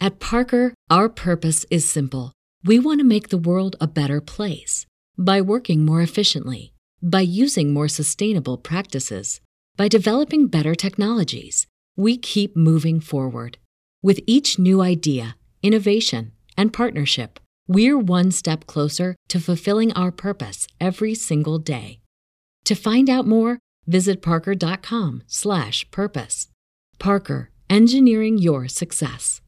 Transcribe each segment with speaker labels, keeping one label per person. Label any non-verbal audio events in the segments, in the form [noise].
Speaker 1: At Parker, our purpose is simple. We want to make the world a better place by working more efficiently, by using more sustainable practices, by developing better technologies. We keep moving forward. With each new idea, innovation, and partnership, we're one step closer to fulfilling our purpose every single day. To find out more, visit parker.com/purpose. Parker, engineering your success.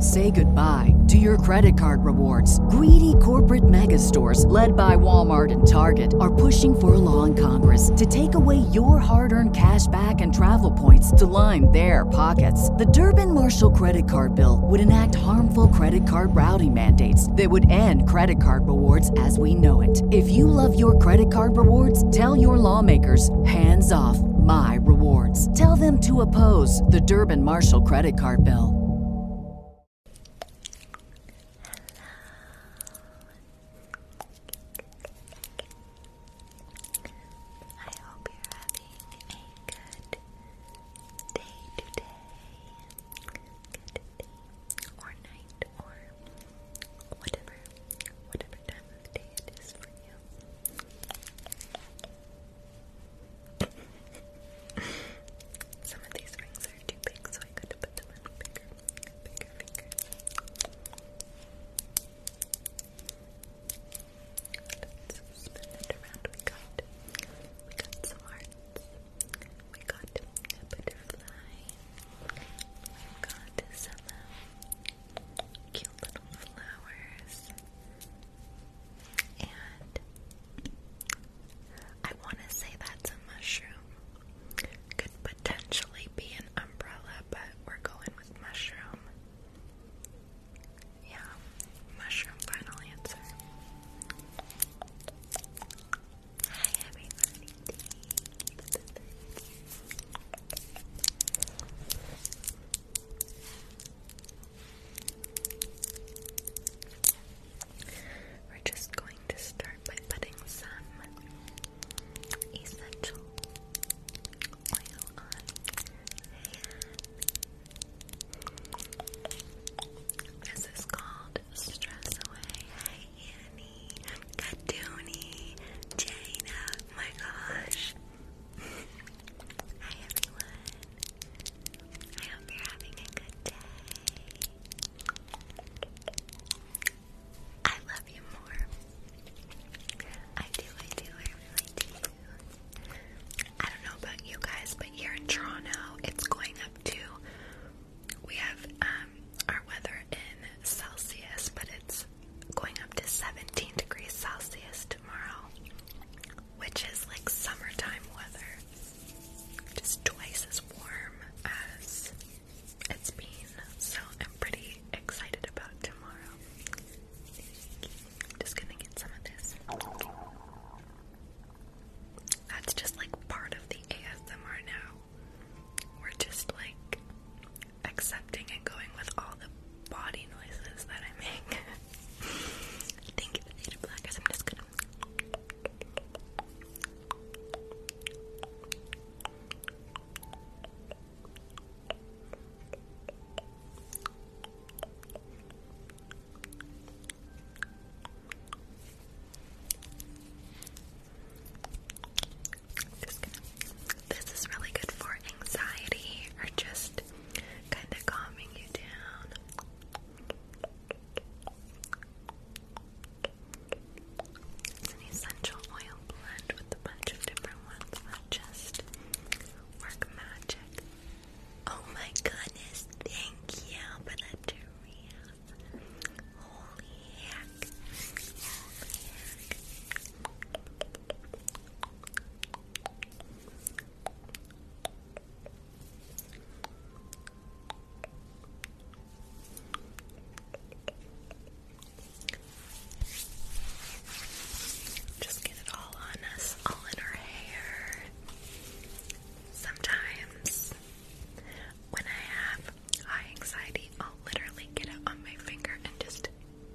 Speaker 1: Say goodbye to your credit card rewards. Greedy corporate mega stores, led by Walmart and Target, are pushing for a law in Congress to take away your hard earned cash back and travel points to line their pockets. The Durbin Marshall credit card bill would enact harmful credit card routing mandates that would end credit card rewards as we know it if you love your credit card rewards, tell your lawmakers hands off my rewards. Tell them to oppose the Durban Marshall credit card bill. Whatever, whatever time of day it is for you. [laughs] Some of these rings are too big, so I got to put them on bigger, bigger fingers. spin it around. We got, we got some hearts. We got a butterfly. we got some. Uh, cute little flowers. And I want to say that's a mushroom. Could potentially be an umbrella, but we're going with mushroom. Yeah, mushroom final answer. Hi everybody. We're just going to start by putting some essential oil on This is called Stress Away. Hi, Annie. Katuni, Jaina, my gosh. Hi everyone. I hope you're having a good day. I love you more. I do, I do, I really do. I don't know about you guys, but here in Toronto, it's going up to. We have um, our weather in Celsius, but it's going up to 17 degrees Celsius tomorrow, which is like summertime weather. Just twice as warm as it's been. So I'm pretty excited about tomorrow.
Speaker 2: Just gonna get some of this.
Speaker 1: That's just like part of the ASMR now. We're just like accepting and going with all the body noises that I make. [laughs] Thank you for the blackers. I'm just gonna this is really good for anxiety or just kind of calming you down. It's an essential oil blend with a bunch of different ones that just work magic. Oh my goodness, thank you for the Holy heck. Just get it all on us, all in our hair. Sometimes when I have high anxiety, I'll literally get it on my finger and just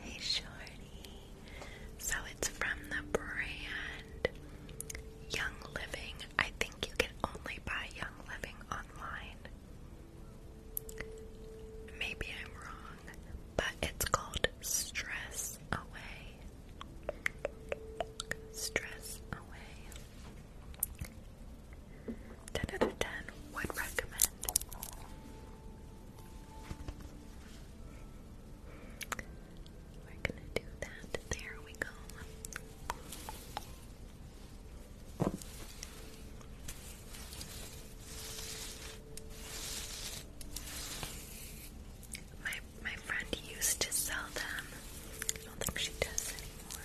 Speaker 1: Hey, Shorty. So it's from the brand Young Living. I think you can only buy Young Living online. Maybe I'm wrong, but it's called Stress Away. Stress Away. 10 out of 10 would recommend. We're gonna do that. There we go. My my friend used to sell them. I don't think she does anymore.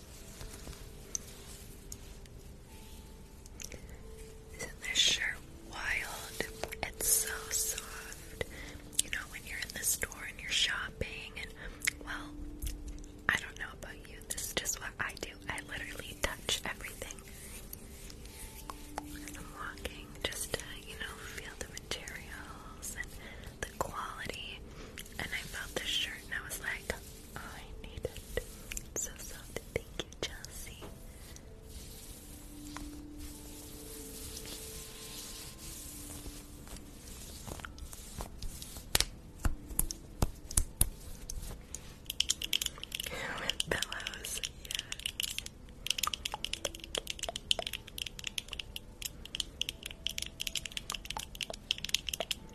Speaker 1: Isn't this shirt wild? It's so soft. You know, when you're in the store and you're shopping, and well, I don't know about you, this is just what I do. I
Speaker 2: literally touch everything. And I'm
Speaker 1: walking just to, you know, feel the materials and the quality. And I felt this shirt and I was like, I need it. so soft. Thank you, Chelsea. With pillows, yes.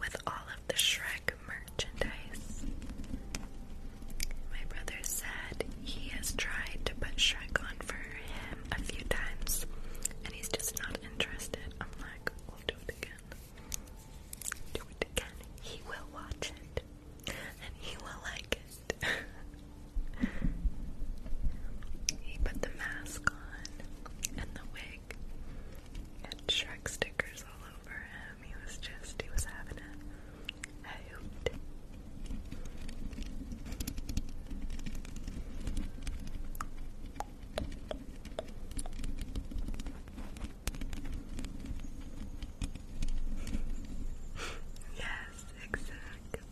Speaker 1: with all of the Shrek merchandise. My brother said he has tried to put Shrek on for him a few times and he's just not interested. I'm like, we'll do it again. Do it again. He will watch it and he will like it. [laughs] he put the mask on and the wig and Shrek stickers all over him. He was just, he was having a hoot. yes, exactly.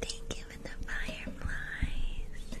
Speaker 1: Thank you for the fireflies.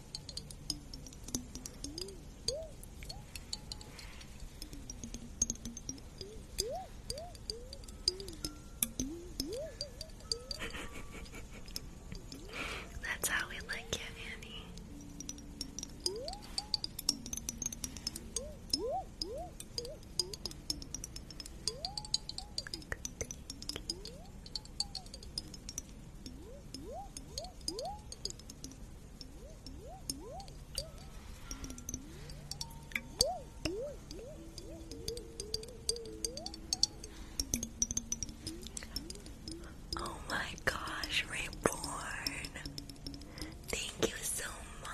Speaker 1: [laughs] That's how we like it, Annie. Oh my gosh, Reborn. Thank you so much.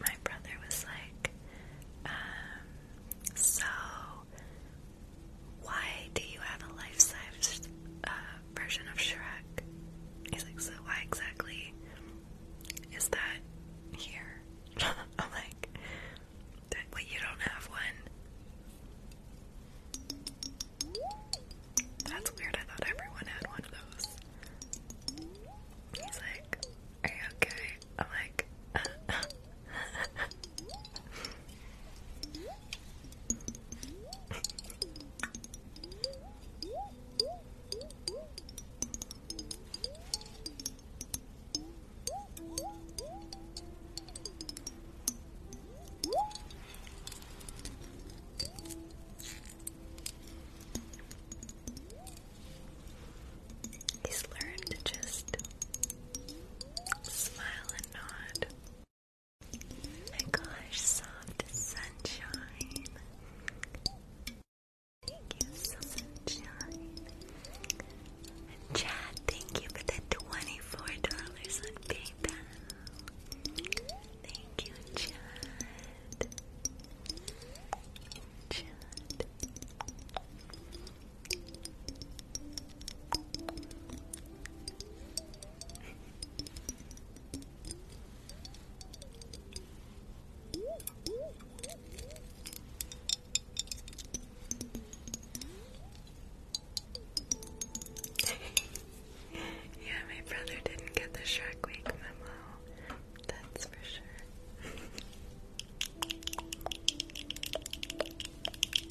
Speaker 1: My brother was like, um, so why do you have a life-size uh, version of Shrek? He's like, so why exactly is that here? [laughs] I'm like, that, you don't have one? That's weird, I thought everyone had one of those. He's like, are you okay? I'm like, [laughs] uh, He's learned to just Smile and nod. My gosh, soft sunshine. Thank you, sunshine. Chad, thank you for the twenty-four dollars on PayPal. Thank you, Chad. Chad. [laughs] yeah,
Speaker 2: my brother didn't get the Shark Week memo. That's for sure.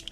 Speaker 2: [laughs]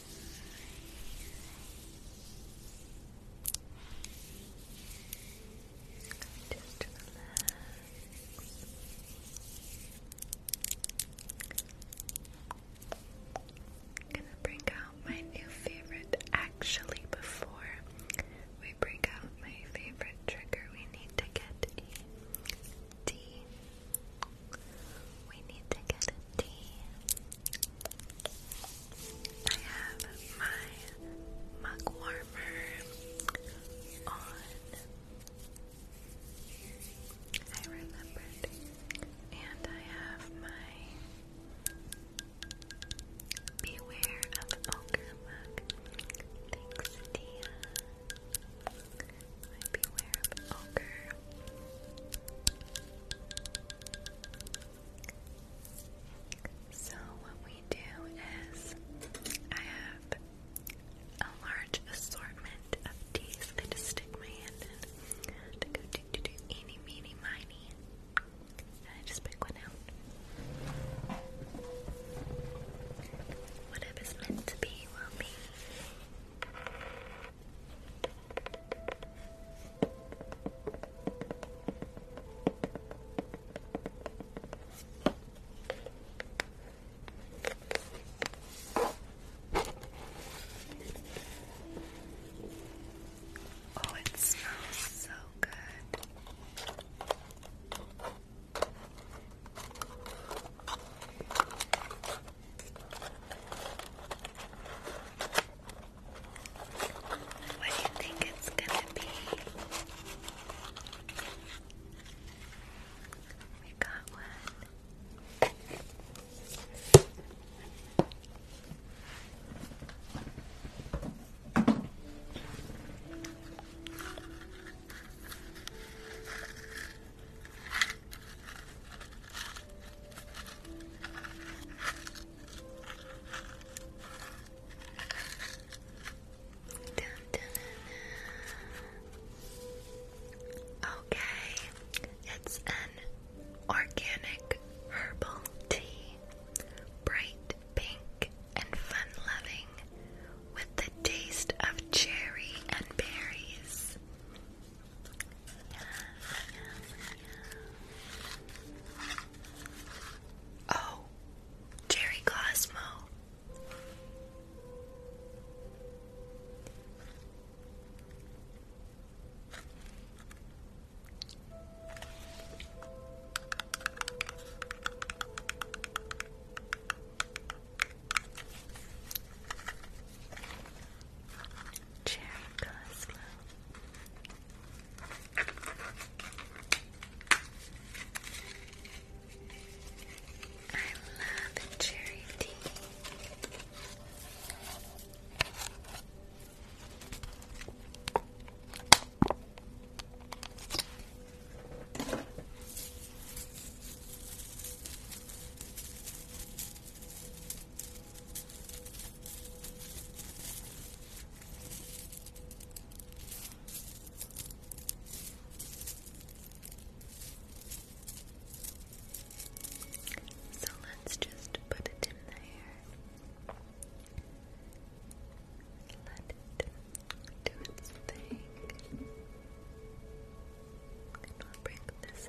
Speaker 1: Just relax. I'm gonna bring out my new favorite actually before we bring out my favorite trigger we need to get a D we need to get a tea. I have my mug warmer on. I remembered. And I have my Beware of Ogre mug. Thanks, Tia. Beware of Ogre. So, what we do is, I have a large assortment of teas. I just stick my hand in go do do do eeny meeny miny, and I just pick one out. Whatever's meant to be will be.
Speaker 2: Oh, it smells so good. What do you think it's gonna be? We got one.
Speaker 1: Okay, it's an organic herbal tea, bright pink and fun loving, with the taste of cherry and berries. Oh, Jerry Cosmo. Cherry Cosmo. I love cherry tea. So let's just put it in there. Let it do its thing to bring this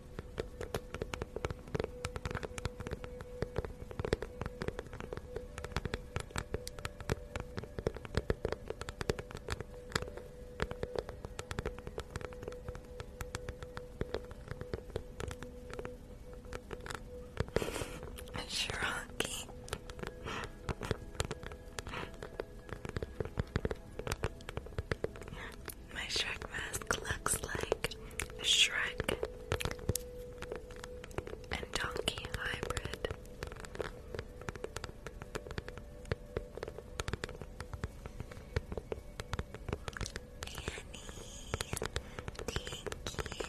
Speaker 1: Shrocky. My Shrek mask looks like
Speaker 2: Shrek and Donkey hybrid. Annie, thank you.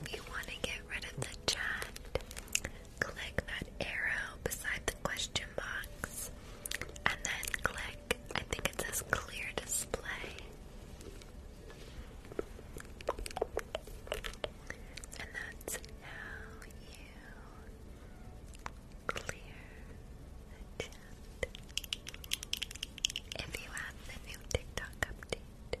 Speaker 1: If you want to get rid of the chat, click that arrow beside the question box, and then click, I think it says clear display. And that's how you clear the chat. If you have the new TikTok update,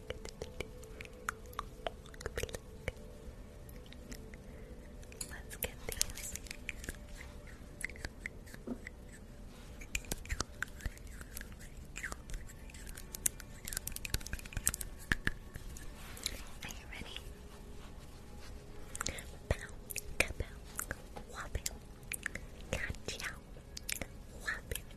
Speaker 2: Let's get these. Are you ready? Bow, kabow, wobble, gotcha, wobble,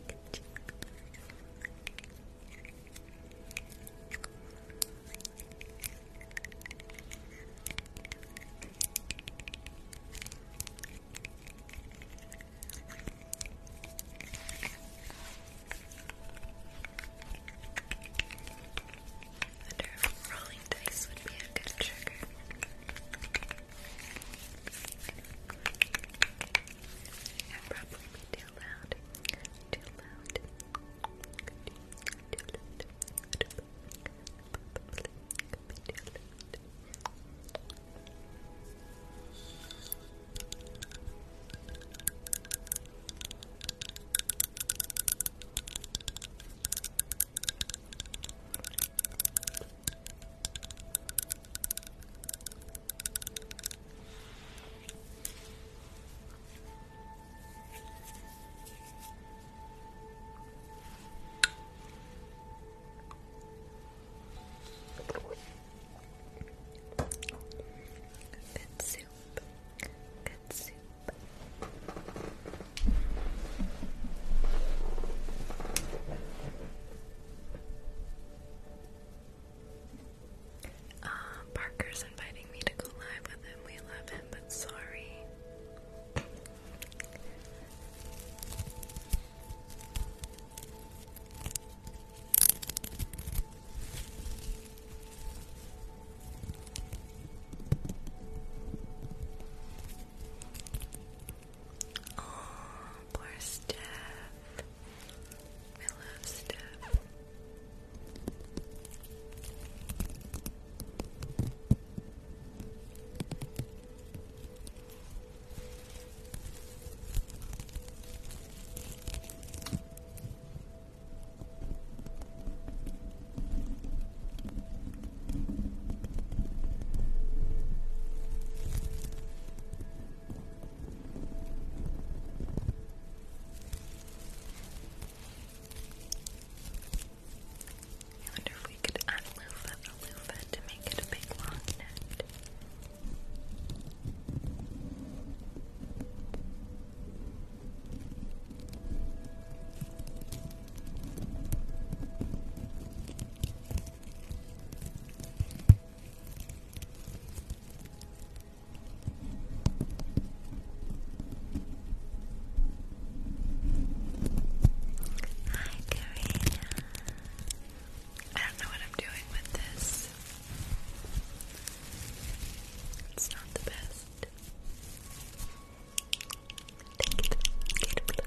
Speaker 2: I wonder if rolling dice would be a good trigger. I'd probably be too loud. Too loud. Too loud. Probably
Speaker 1: could be too loud. Thank Good soup. Good soup. Uh, Parker's inviting me to go live with him. We love him, but sorry. Oh, poor Steph. I love Steph. I wonder if we could add a loofah, a to make it a big long net. Hi, Karina. I don't know what I'm doing with this. It's not the best. Thank you, Gator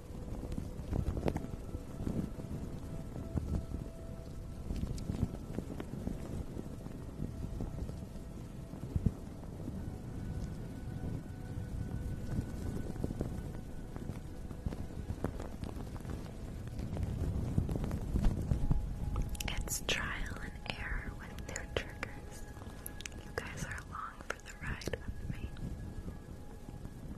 Speaker 1: It's trial and error with their triggers. You guys are along for the ride with me.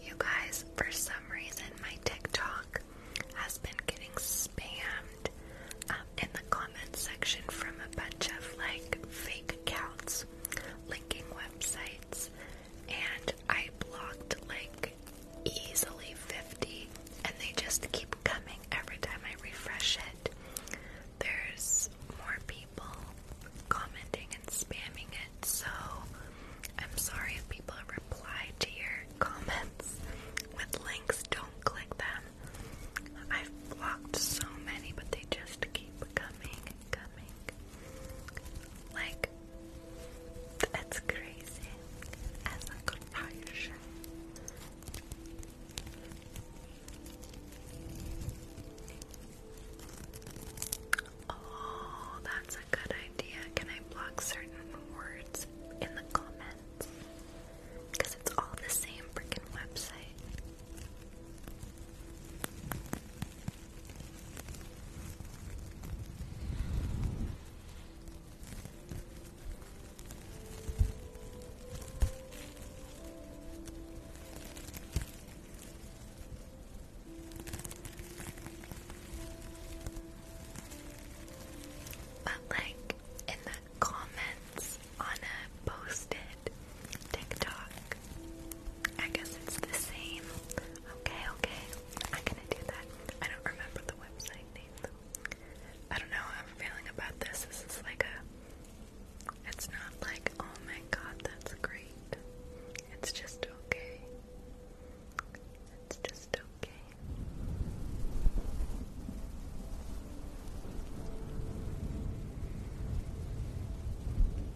Speaker 1: You guys, for some reason, my TikTok has been getting spammed um, in the comments section from a bunch of like fake accounts linking websites and I blocked like easily 50, and they just keep coming every time I refresh it. There's more people commenting and spamming it, so I'm sorry if people reply to your [laughs] comments with links, don't click them. I've blocked so many, but they just keep coming coming. Like, that's crazy. As a comparison. Oh, that's a good idea. Can I block certain words in the comments? Because it's all the same freaking website. But like in the comments on a posted TikTok, I guess it's the same. Okay, okay. I'm gonna do that. I don't remember the website name I don't know how I'm feeling about this. This is like a. It's not like, oh my god, that's great. It's just okay. It's just Okay.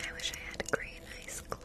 Speaker 1: I wish I had green ice globes.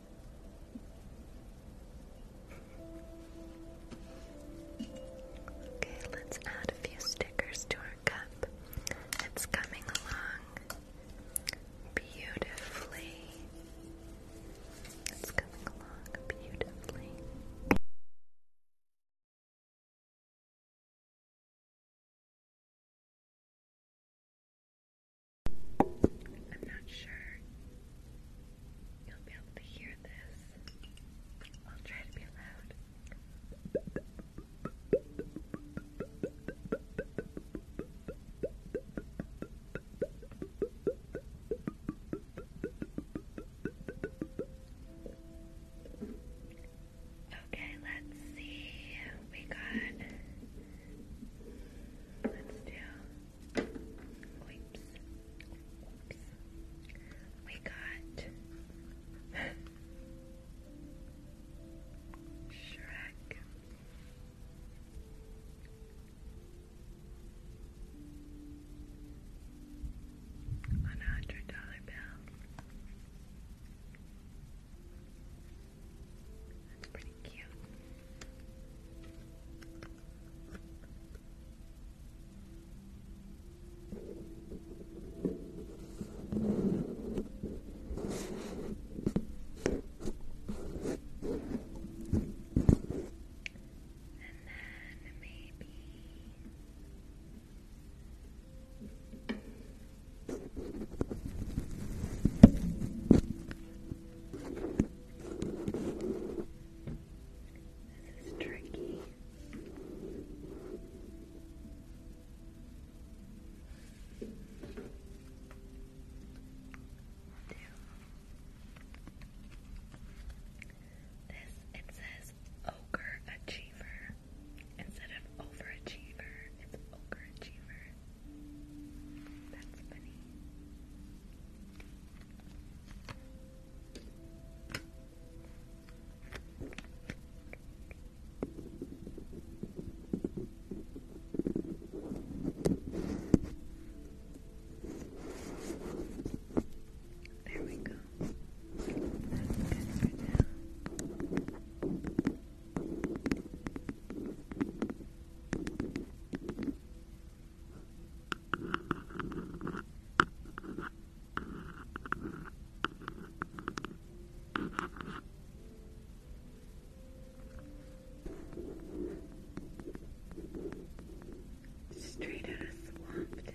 Speaker 1: Okay, let's add a few stickers to our cup. It's coming along beautifully. It's coming along beautifully. I'm not sure you'll be able to hear this. I'll try to be loud. Okay, let's see. We got Let's do Oops. We got Shrek. hundred dollar bill. That's pretty cute. And then maybe this is tricky. This it says ogre achiever instead of overachiever. It's ogre achiever. That's funny. There we go. That's good for now.
Speaker 2: Straight out of Swampton.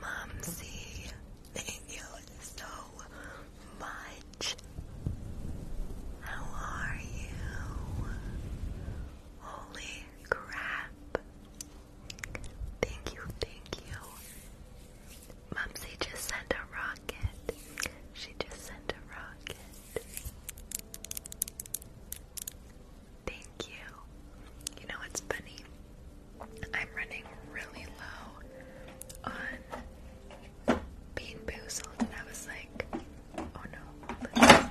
Speaker 2: Mumsy, thank you so much. How are you? Holy
Speaker 1: crap. Thank you, thank you. Mumsy just sent a rocket. She just sent a rocket. Thank you. You know what's funny? I'm running really low on bean boozled, and I was like, oh no, I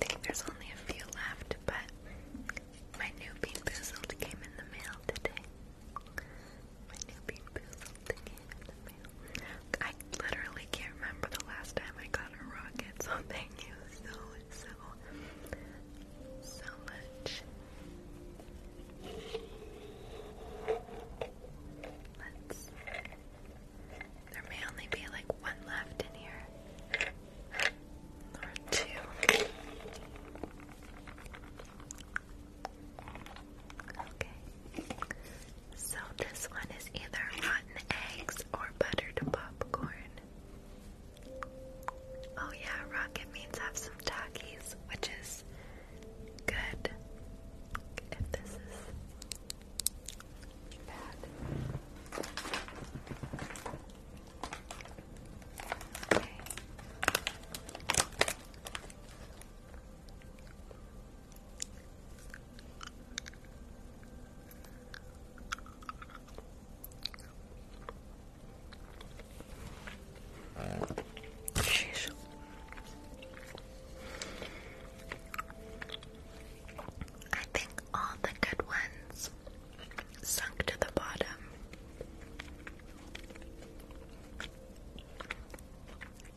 Speaker 1: think there's only a few left, but my new Bean Boozled came in the mail today. My new Bean Boozled came in the mail. I literally can't remember the last time I got a rocket, so [laughs] thank you so, so, so much. Let's. There may only be like one left in here. Number two. Okay. So this one is either rotten eggs or buttered popcorn. Oh yeah, rocket means have some Takis, which is good. If this is bad. Okay. Sheesh. I think all the good ones sunk to the bottom.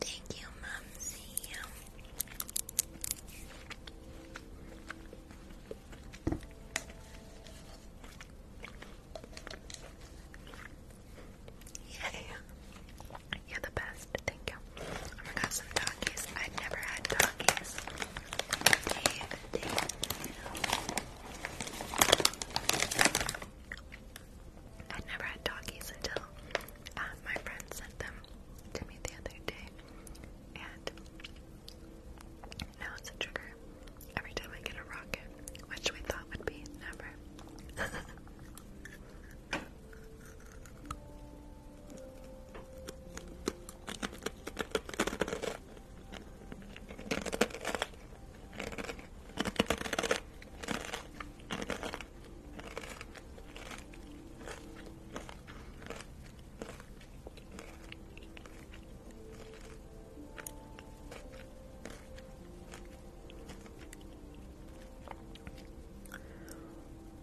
Speaker 1: Thank you, Mumsy. Yay. [laughs] You're the best. Thank you. Oh my some doggies. I've never had doggies. I'd never had doggies until uh, my friend sent them to me the other day, and now it's a trigger every time I get a rocket, which we thought would be never. [laughs]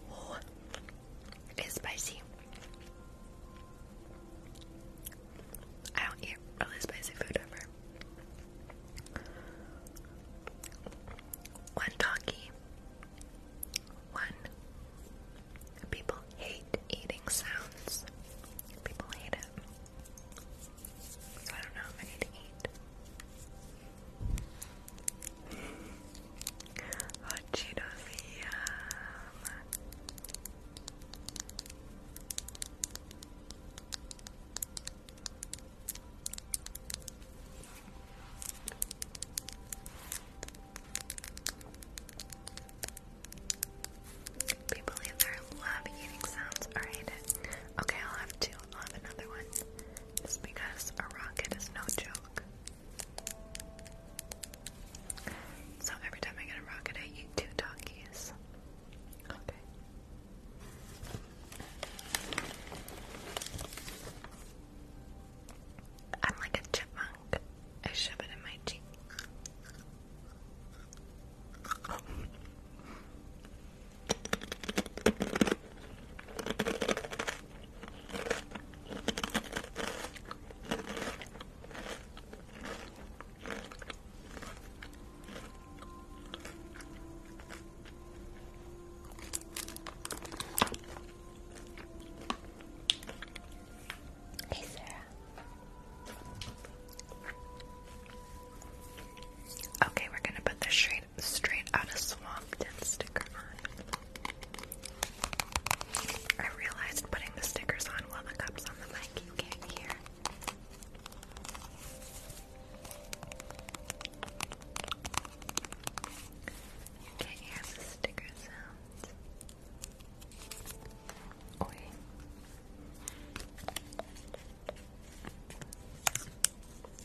Speaker 1: Oh, it's spicy. I don't eat really spicy food ever. One talkie. One. People hate eating sounds. People hate it. So I don't know if I to eat. Hot People either love eating sounds or hate it. Okay, I'll have two. I'll have another one. Just because a rocket is no joke. So every time I get a rocket, I eat two donkeys. Okay. I'm like a chipmunk. I shove it in my cheek. Hey, Sarah. Okay, we're gonna put the straight straight out of Swampton sticker on. I realized putting the stickers on while the cup's on the I keep getting here. You can't hear the sticker sounds.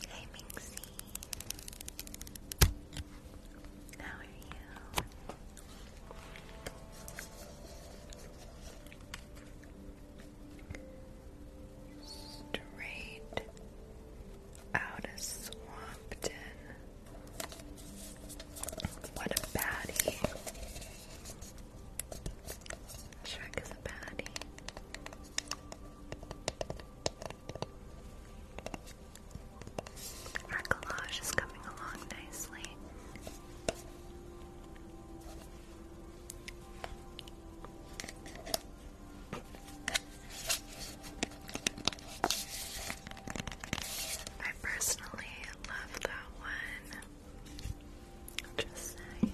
Speaker 1: Hey, Minxie. How are you? Straight out of Swampton. What a baddie. Shrek is a baddie.
Speaker 2: Our collage is coming along nicely. I personally love that one. Just saying.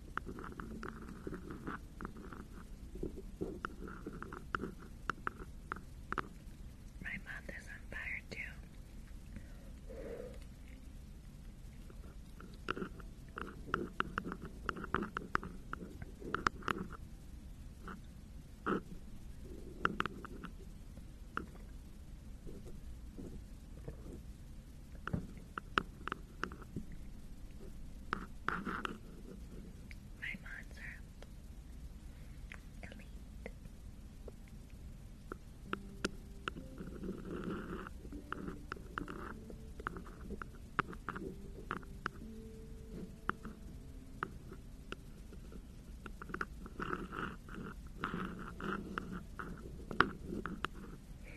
Speaker 1: My mouth is too. My mods are Elite.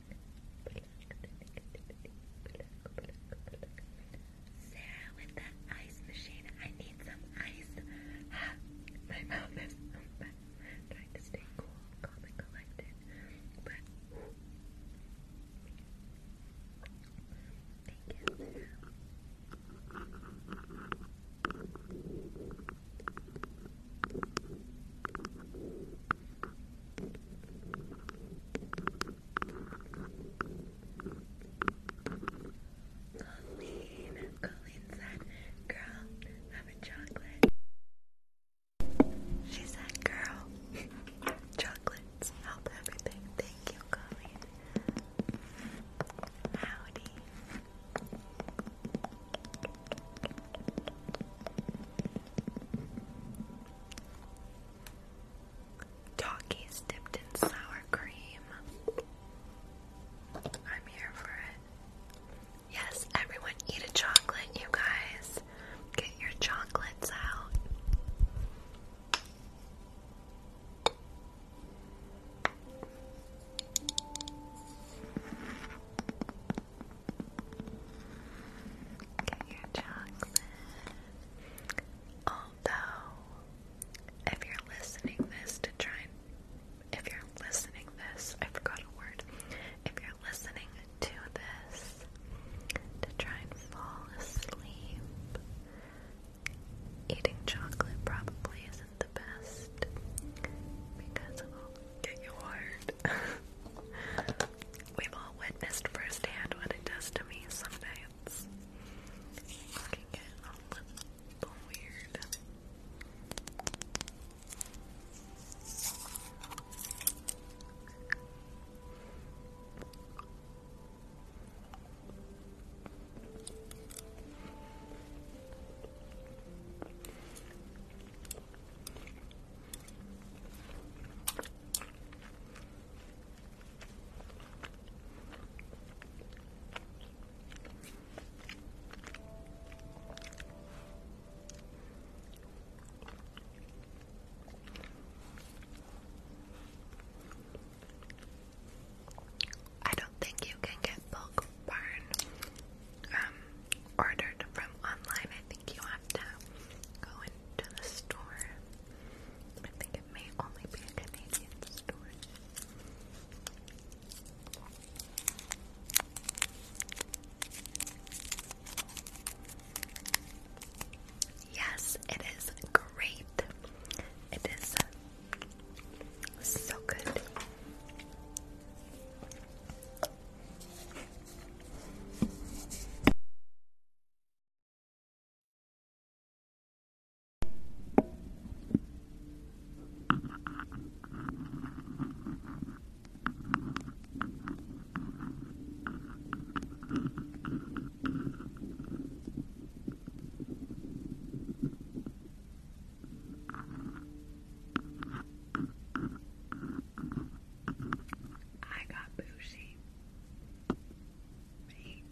Speaker 1: Sarah with the ice machine. I need some ice. [laughs] My mouth is open. Trying to stay cool, calm, and collected. But thank you, Colleen, Colleen said, girl, have a chocolate. She said, girl, chocolates help everything. Thank you, Colleen. Howdy. Talkies dipped in sour cream. I'm here for it. Yes, everyone eat a chocolate, you guys. Get your chocolates out. Get your chocolate. Although, if you're listening this to try if you're listening this, I forgot a word. If you're listening to this to try and fall asleep, eating chocolate probably isn't the best because it will get you hard. We've all witnessed firsthand what it does to me Sometimes, nights. can get all the weird. I don't think you can get bulk barn um, ordered from online. I think you have to go and to the store. I think it may only be a Canadian store. Yes, it is great. It is so good. I got bougie. Thank you, Mark.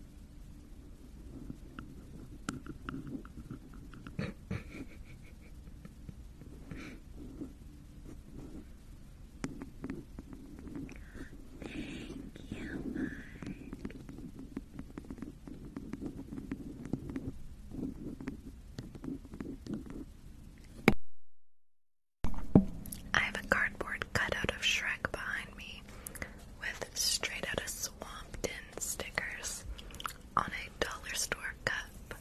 Speaker 1: I have a cardboard cutout of Shrek behind me with straight out of Swampton stickers on a dollar store cup.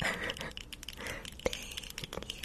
Speaker 1: [laughs] Thank you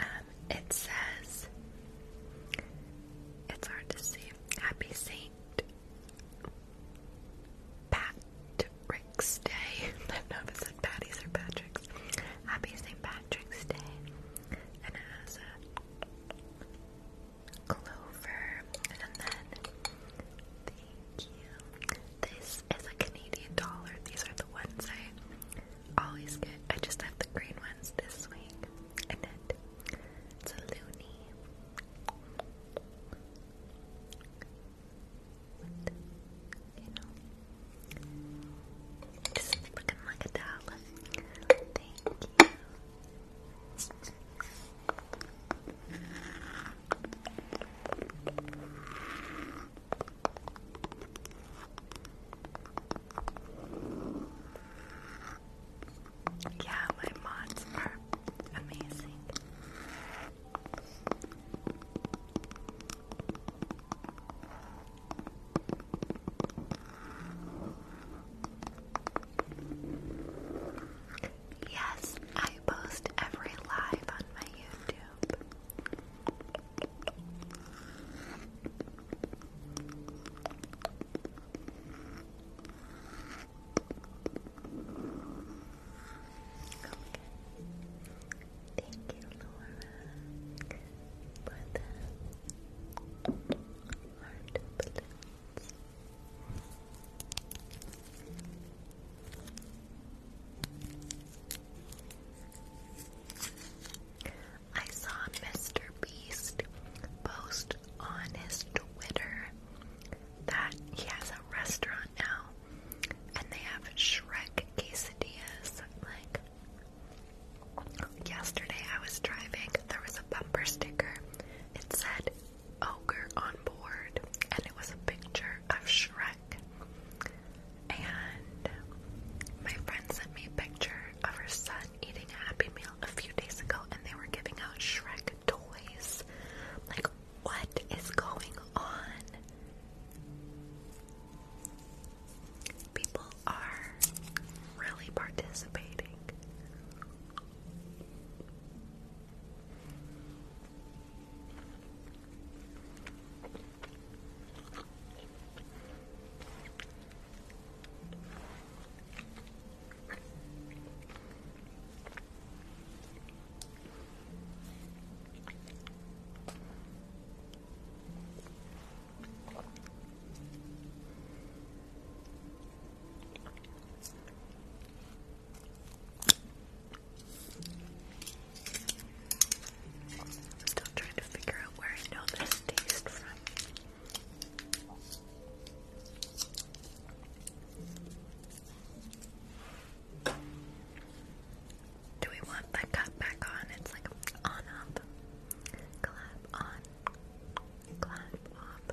Speaker 1: Um, it says, it's hard to see, Happy Saint Patrick's Day. [laughs] I don't know if it said Patty's or Patrick's. Happy St. Patrick's Day. And it has a clover. And then, thank you. This is a Canadian dollar. These are the ones I Always good. I just have the green ones this week. Annette. It's a loony. you know. Just looking like a doll. Thank you. Yeah, my mods are amazing. Yes, I post every live on my YouTube. Thank you, Laura, for the heart balloons. I saw Mr. Beast post on his Twitter that he has a restaurant now and they have Shrek quesadillas. Like, yesterday I was driving, there was a bumper sticker. It said, Ogre on board, and it was a picture of Shrek. And my friend sent me a picture of her son eating a Happy Meal a few days ago and they were giving out Shrek toys. Like, what is going on? People are really participating. I'm still trying to figure out where I know this taste from. Do we want the cup back on? It's like on up. Clap on. Clap up.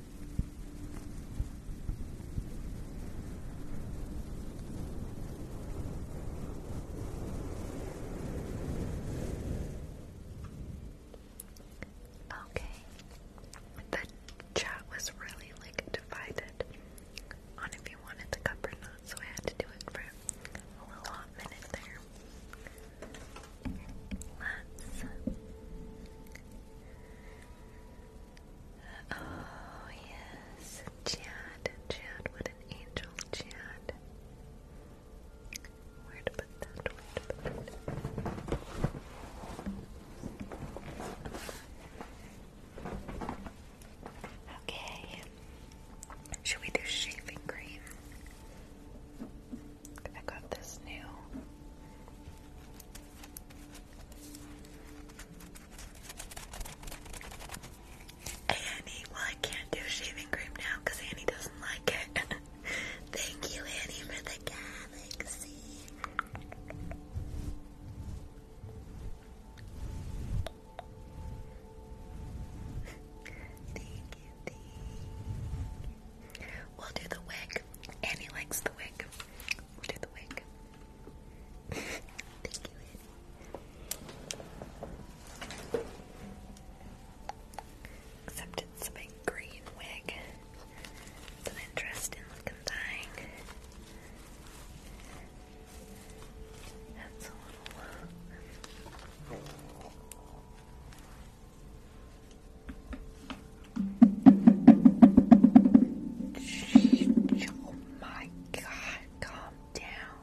Speaker 1: Okay. The chat was really like divided on if you wanted the cup or not, so I had to do it for a little hot minute there. Let's Oh, yes, Chad, Chad, what an angel, Chad. Where to put that? Where to put that? Okay. Should we do shaving cream? I got this new Annie, well, I can't do shaving cream now because Annie doesn't like it. [laughs] Thank
Speaker 2: you, Annie, for the galaxy.
Speaker 1: We'll do the wig. Annie likes the wig. We'll do the wig. Thank you, Except it's a big green wig. It's an interesting looking thing. That's a little. Uh, oh my god, calm down.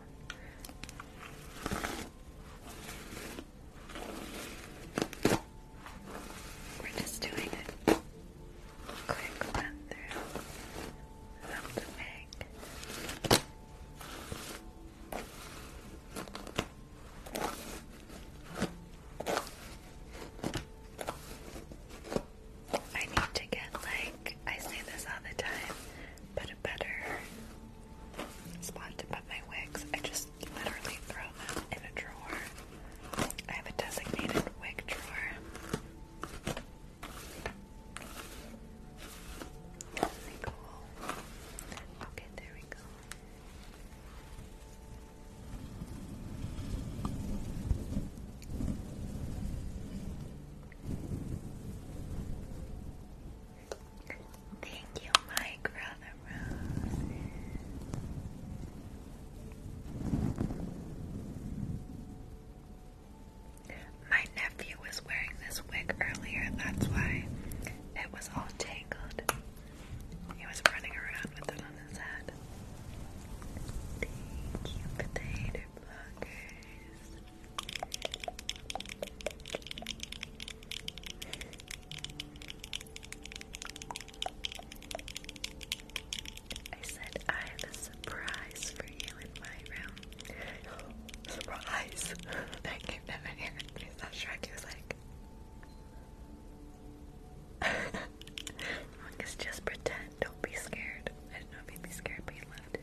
Speaker 1: We're just doing it. Quick run through of the I need to get like I say this all the time, but a better spot to put my wigs. I just literally throw them in a drawer. I have a designated wig drawer. cool. Okay, there we go. Thank you, Mike Brother Rose. My nephew was wearing this wig earlier, that's why it was all tangled. He was running around with it on the Thank you, potato blockers. I said I have a surprise for you in my room. Surprise! [laughs] I came down in here and he's not sure. He was like, Monk is [laughs] just pretend. Don't be scared. I did not mean to be scared, but you loved it.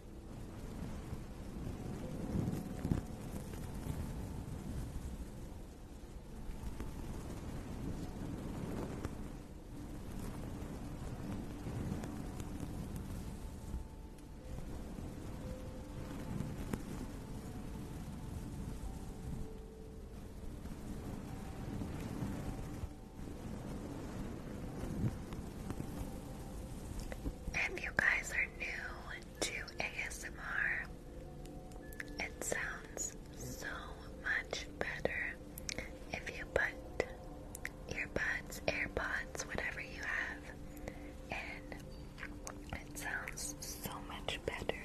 Speaker 1: If you guys are new to ASMR. It sounds so much better if you put earbuds, AirPods, whatever you have in. It sounds so much better.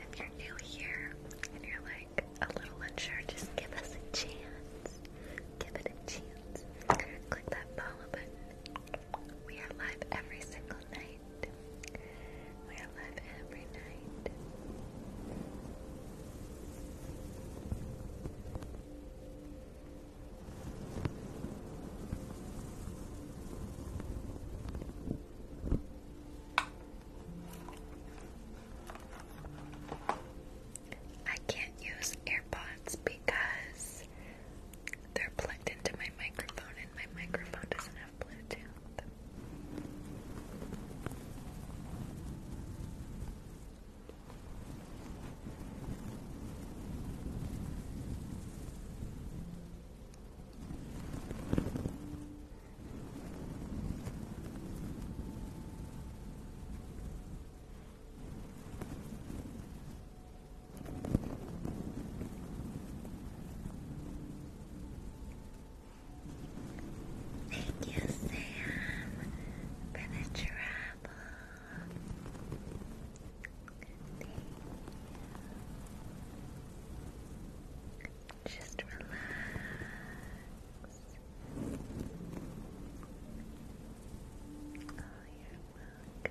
Speaker 1: If you're new here and you're like a little unsure, just give us a chance. Give it a chance. Click that follow button. We are live every single night. We are live every night. I can't use AirPods because they're plugged into my microphone and my microphone doesn't have Bluetooth. Thank you, Sam, for the travel. Just relax you're welcome.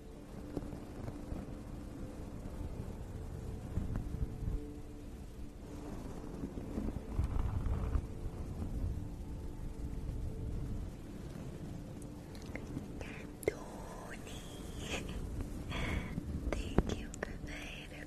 Speaker 1: Tony. Thank you for the hater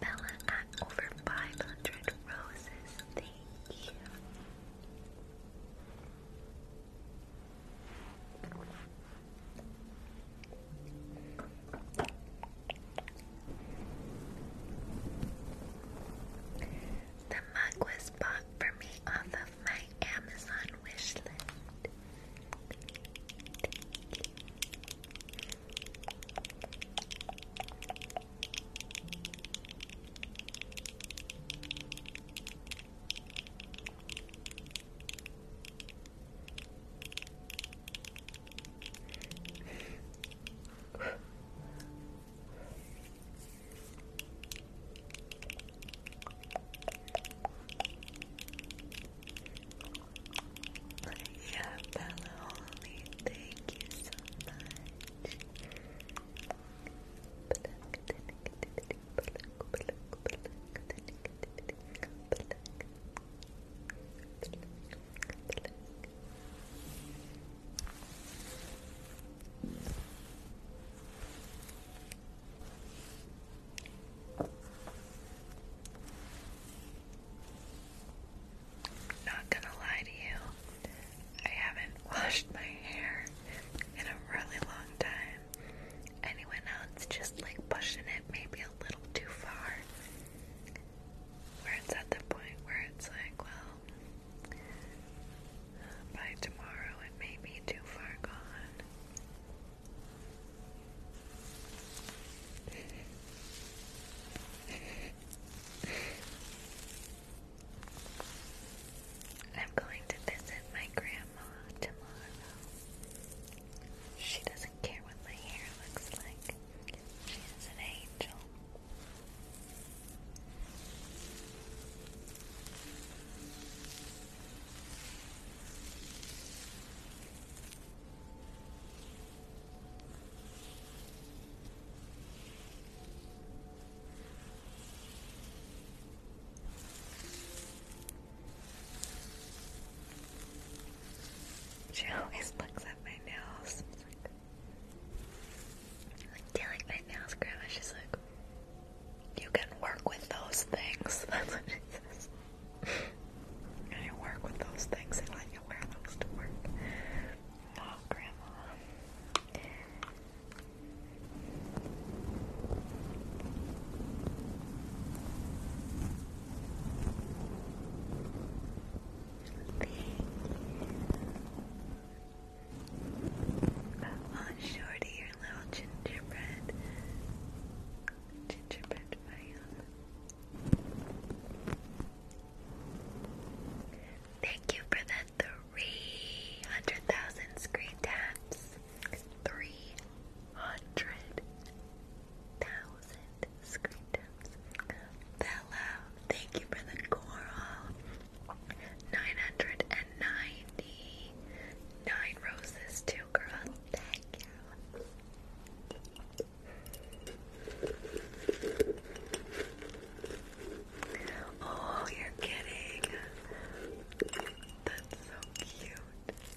Speaker 1: Bella at over 500 roses. Thank you. The mug was bought for me off of my Amazon wish yeah, Bella Holly, thank you so much. Not gonna lie to you, I haven't [laughs] washed my hair in a really long time. Anyone else just like pushing it maybe a little too far. Where it's at the point where it's like, well, by tomorrow it may be too far gone. I'm going to visit my grandma tomorrow. She doesn't care what my hair looks like. She's an angel. She always looks at my nails. Like, like my nails, Grandma. She's like, you can work with those things. [laughs] That's what she says. you work with those things and let you wear those to work. Oh, Grandma. Thank oh, you. on, Shorty, your little gingerbread. Gingerbread man. Thank you for the 300,000 screen taps. 300,000 thousand screen Hello, thank you for the coral. 999 roses too, girl. Thank you. Oh, you're kidding. That's so cute.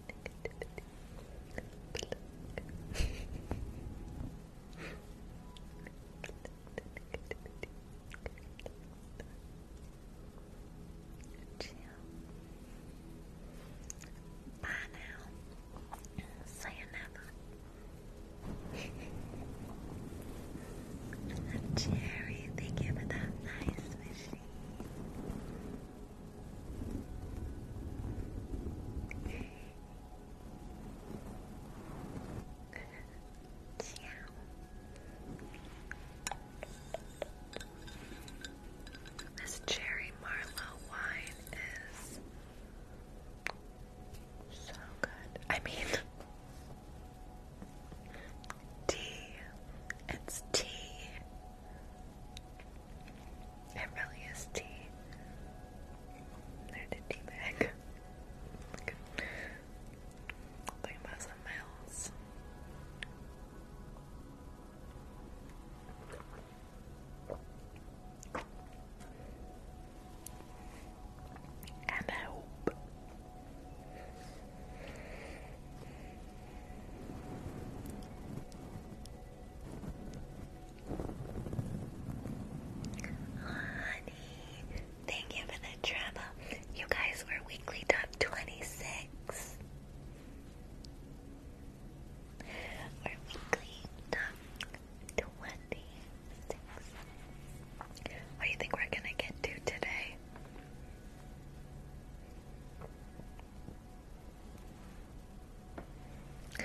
Speaker 1: Bye now. Say [laughs] another. thank you for that nice machine. This cherry Marlow wine is so good. I mean, [laughs] tea. It's tea. It really is tea. There's a bag. Look. [laughs] Think about something else. And hope. Honey, thank you for the travel. You guys were weekly top 26. We're weekly top 26. What do you think we're gonna get to today? do you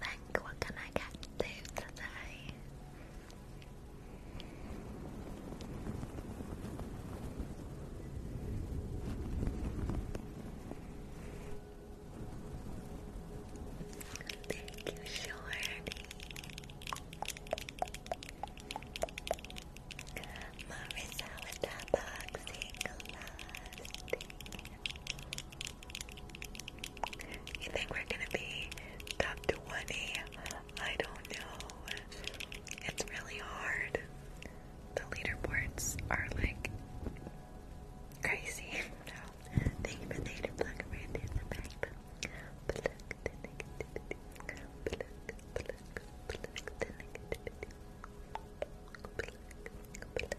Speaker 1: think? What can I get to today? Thank you, Shorty. Marissa with that boxing glass. Thank you think we're gonna be top 20? I don't know. It's really hard. The leaderboards are like crazy. Thank you for the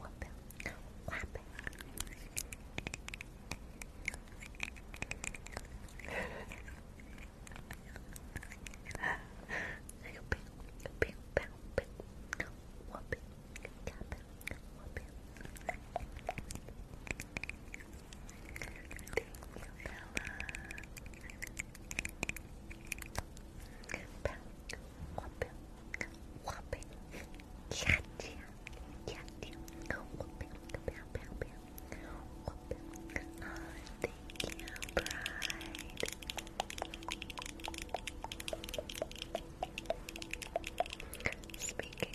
Speaker 1: whoop, whap. Whopping, Speaking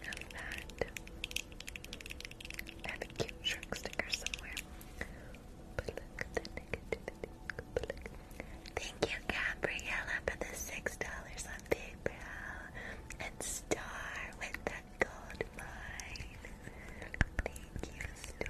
Speaker 1: of that, I have a cute shrink sticker somewhere. But look Thank you, Gabriella, for the six dollars and Star with that gold mine. Thank you, Star.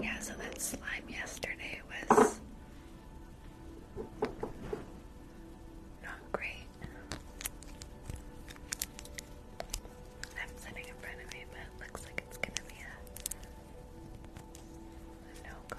Speaker 1: Yeah, so that slime yesterday was not great. I'm sitting in front of me, but looks like it's gonna be a no go.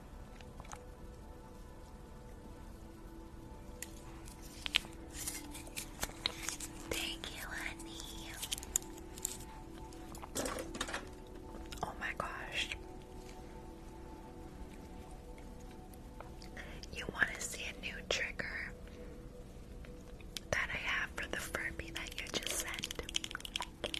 Speaker 1: Thank you, honey. Oh my gosh. You want to see a new trigger that I have for the Furby that you just sent?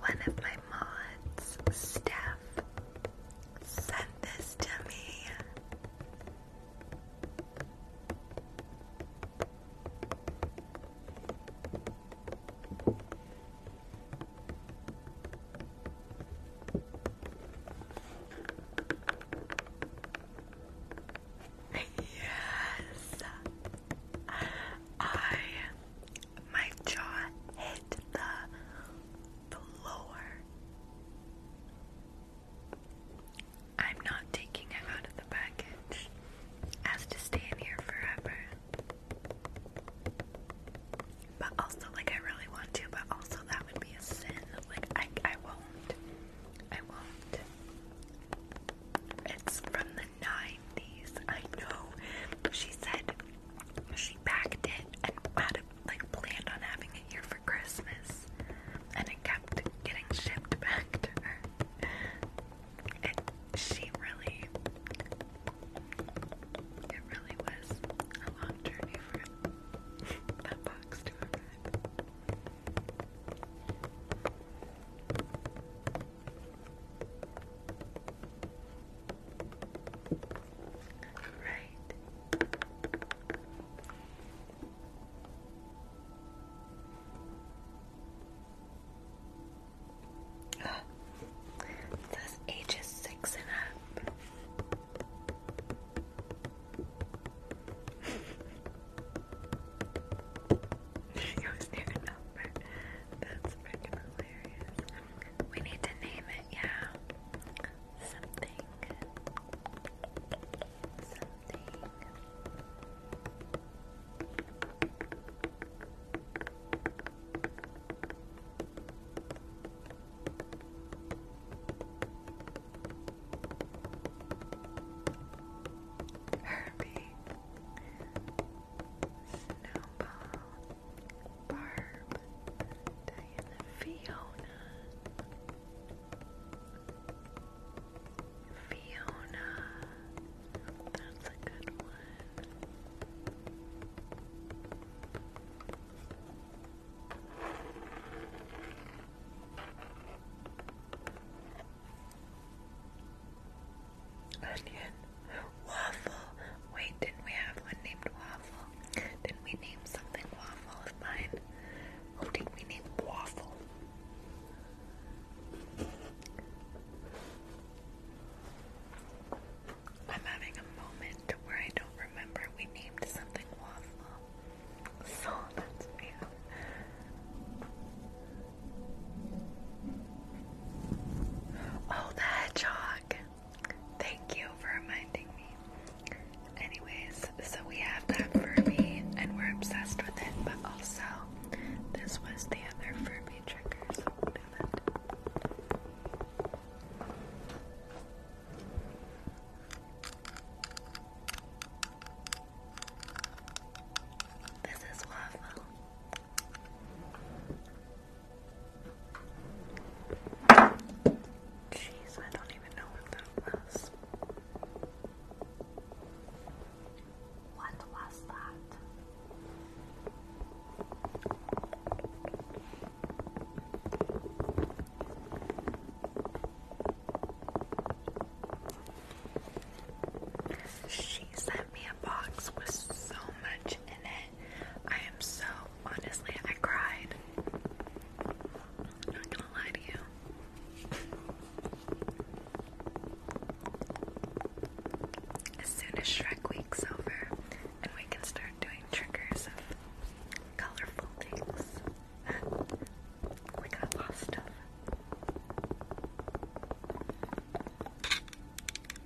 Speaker 1: one of my mods, Steph, sent this to me. [laughs] yes, I my jaw hit the floor. I'm not taking it out of the package. has to stay in here forever. But also, like, I really want to, but also that would be a sin. Like, I, I won't. I won't. It's from the 90s. I know. She said she packed it and had like planned on having it here for Christmas, and it kept getting shipped back to her. And she really, it really was a long journey for [laughs] that box to arrive.
Speaker 2: Right. Oh, [gasps]
Speaker 1: ages six and up. it was near a number. That's freaking hilarious. We need to name it, yeah. Something. Something. Herbie. Snowball, Barb, Fiona, Fiona. That's a good one. Onion. Waffle. Wait, didn't we have one named Waffle? Didn't we name something Waffle of mine? Who oh, did
Speaker 2: we name Waffle?
Speaker 1: I'm having a moment where I don't remember we named something Waffle. So that's me. Oh, the hedgehog. Thank you for reminding me. Anyways, so we have that Furby and we're obsessed with it, but also this was the other Furby trigger, so This is waffle. Jeez, I don't even know what that was. What was that? She sent me a box with so much in it. I am so honestly, I cried. not gonna lie to you. As soon as Shrek Week's over, and we can start doing triggers colorful things, [laughs] we got lost stuff.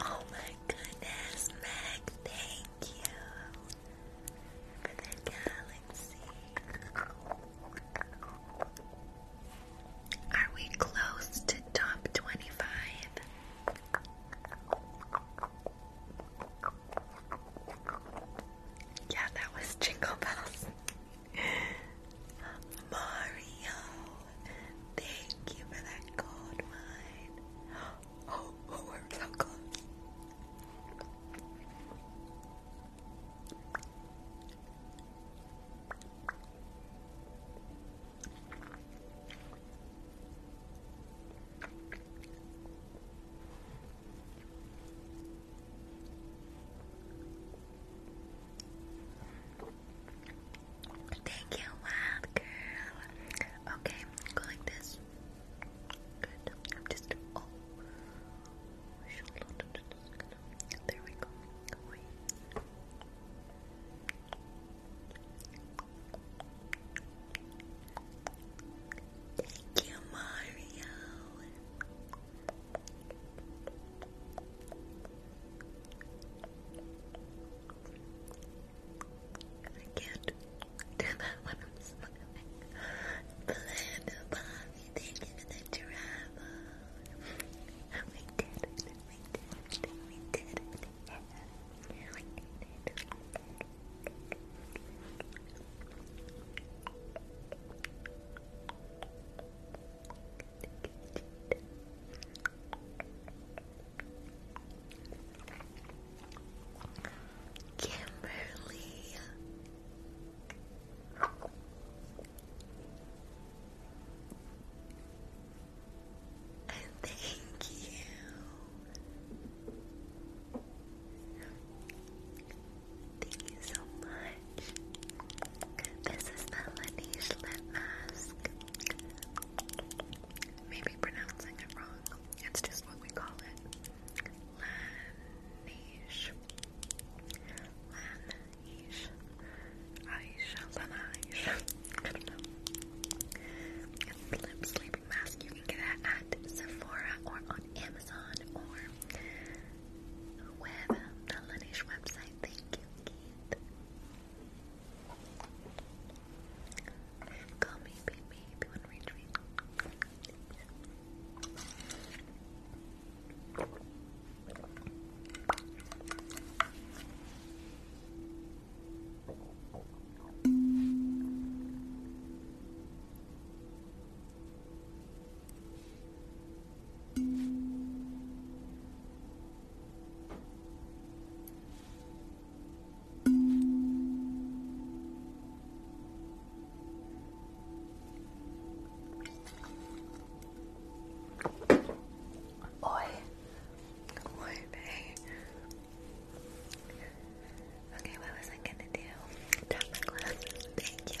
Speaker 1: Oh my goodness, Meg, thank you Are we close to top 25? Yeah, that was Jingle Bells. Mario, thank you for that gold mine. Oh, we're so close. Thank you, wild girl. Okay, go like this. Good. I'm just oh. There we go. Thank you, Mario. I can't do that when I'm smiling. Belinda, Bobby, thank you for the travel. We did we did we did we did Kimberly. And [laughs] thank you. Thank you so much. This is Melanie Schlimask. Maybe pronouncing it wrong. It's just what we call it. Lanish. Lanish. Aisha. Lanish. lip sleeping mask. You can get it at Sephora or on Amazon or with the Lanish website. Thank you, Call me baby if you Oi, morning. Okay, what was I gonna do? Tap my glasses. Thank you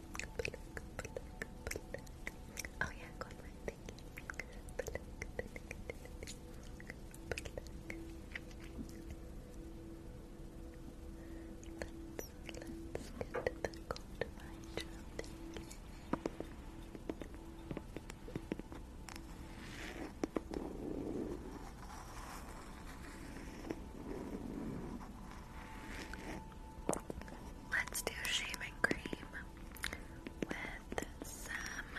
Speaker 1: Oh yeah, go for Thank you. Let's let's get the gold mine Let's do shaving cream with some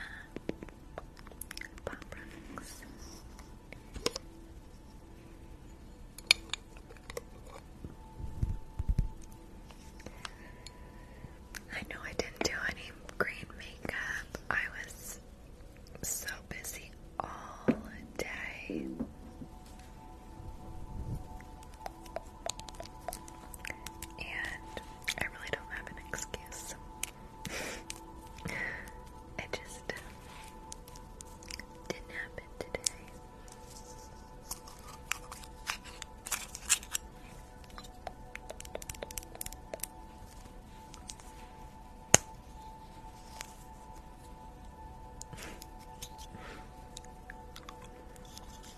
Speaker 1: pop I know I didn't do any green makeup. I was so busy all
Speaker 2: day. And I really don't have an excuse. [laughs] it just didn't happen today.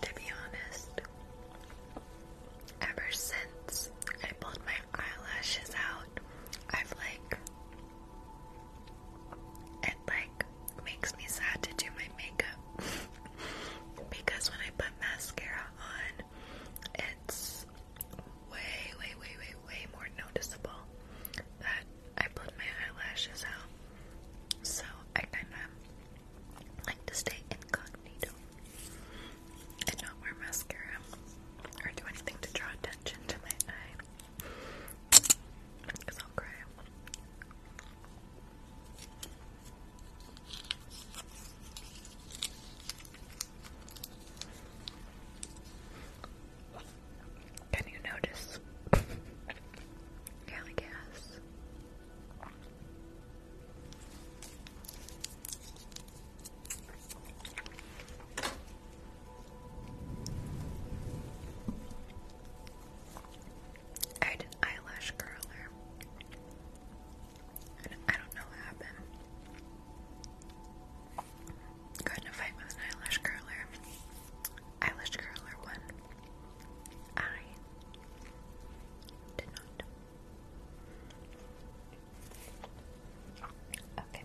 Speaker 1: To be honest, ever since I pulled my eyelashes out, I've like. It like makes me sad to do my makeup [laughs] because when I put mascara on, it's way, way, way, way, way more noticeable that I pulled my eyelashes out. So I kind of like to stay incognito and not wear mascara or do anything to draw attention to my eye because I'll Can you notice? yeah, [laughs] guess. I had an eyelash curler. I don't know what happened. Got in a fight with an eyelash curler. Eyelash curler won. I did not. Okay.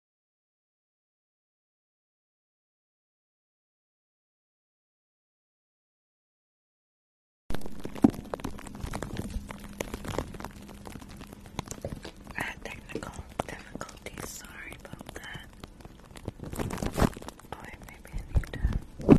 Speaker 1: I had technical difficulties, sorry about that. Oh maybe I need to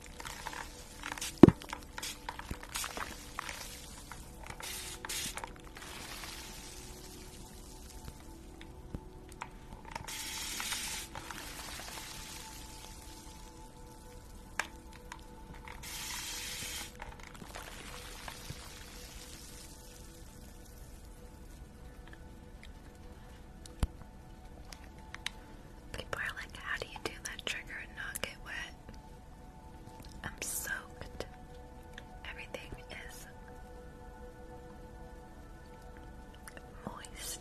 Speaker 1: People are like, how do you do that trigger and not get wet? I'm soaked. Everything
Speaker 2: is moist.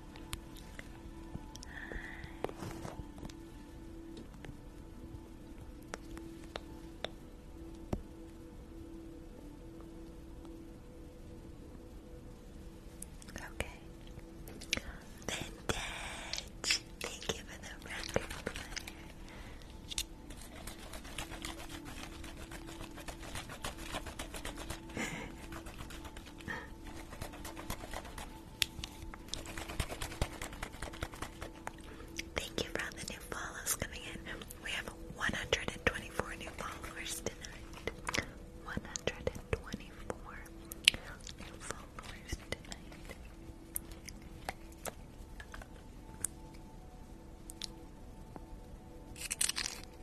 Speaker 2: Okay. Vintage. Thank you for the record player. [laughs] Thank you for all the new follows coming in. We have 124 new followers tonight. 124 new followers tonight.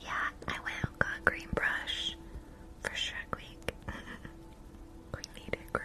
Speaker 2: Yeah, I went and got green brush for Shrek we need it, green.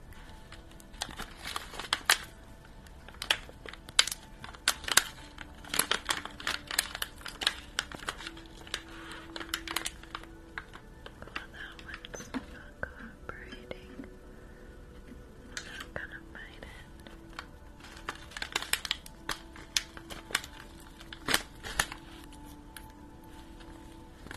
Speaker 2: that one's not cooperating. not gonna fight it.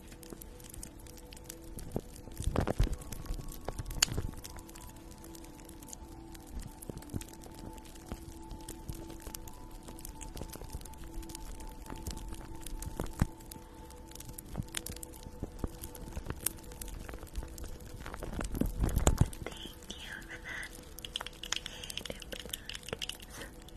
Speaker 1: Thank you for that. Thank you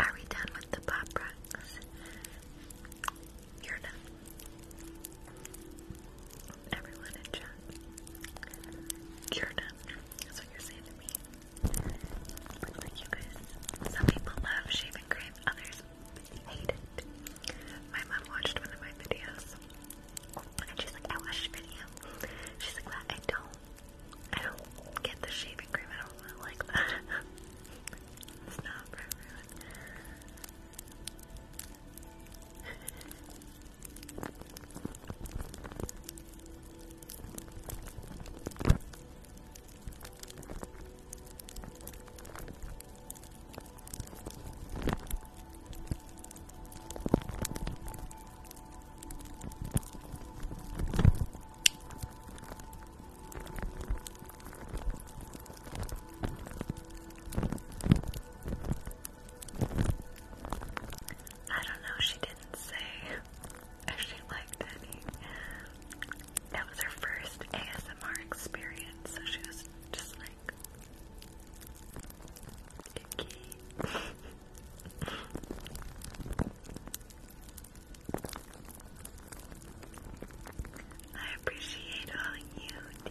Speaker 1: Are we done with the pop You're done. Everyone in chat. You're done. That's what you're saying to me. Like you guys. Some people love shaving cream, others hate it. My mom watched one of my videos and she's I watched a video. She's like, I don't, I don't get the shaving cream. I don't like that. [laughs] it's not for I don't know, she didn't say if she liked any. That was her first ASMR experience, so she was just like, Yuki. I appreciate all you do.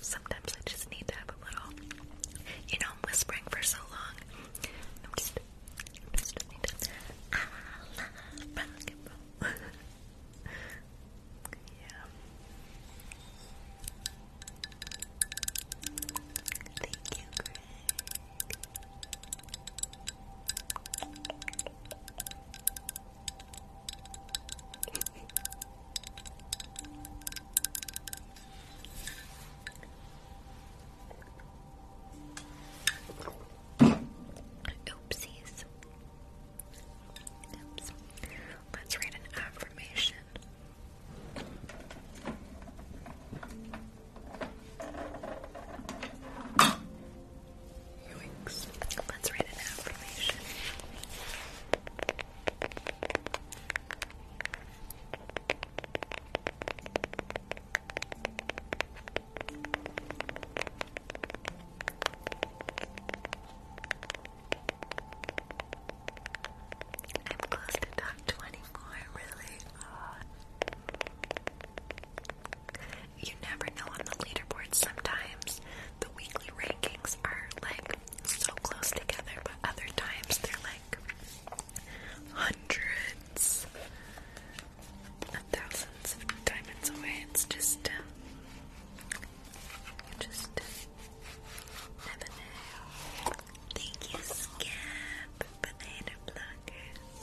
Speaker 1: Sometimes I just need to have a little, you know, I'm whispering for so long. Ah, [laughs] yeah. Thank you, Oopsies. Oops. Let's read an affirmation. Let's read an affirmation. I'm close to top 24, really. Uh, you never know on the leaderboard sometimes. The weekly rankings are like so close together, but other times they're like hundreds thousands of diamonds away. It's just, uh, just uh, never know. Thank you, Skip, banana blockers.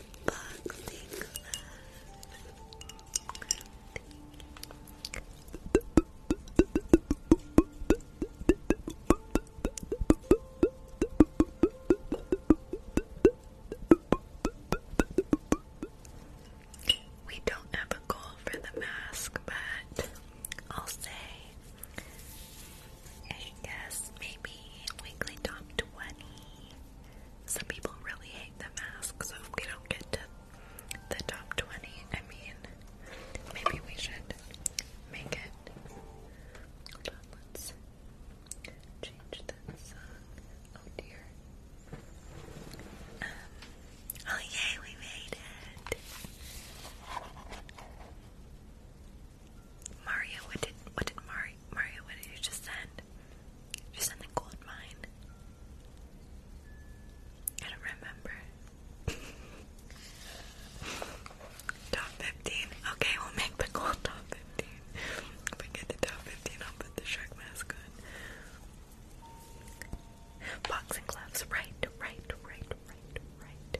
Speaker 1: unboxing We don't have a goal for the mask, but I'll say I guess maybe weekly top 20 some people really hate the mask, so if we don't get to the top 20, I mean, maybe we should make it. Hold on, let's change that song. Oh dear. Um, oh yay, we made it! Mario, what did what did Mario Mario what did you just send? you send the gold mine? I don't remember. [laughs] top fifteen. Okay, we'll make the gold top fifteen. we get the top fifteen, I'll put the shark mask on. Boxing gloves, right, right, right, right, right.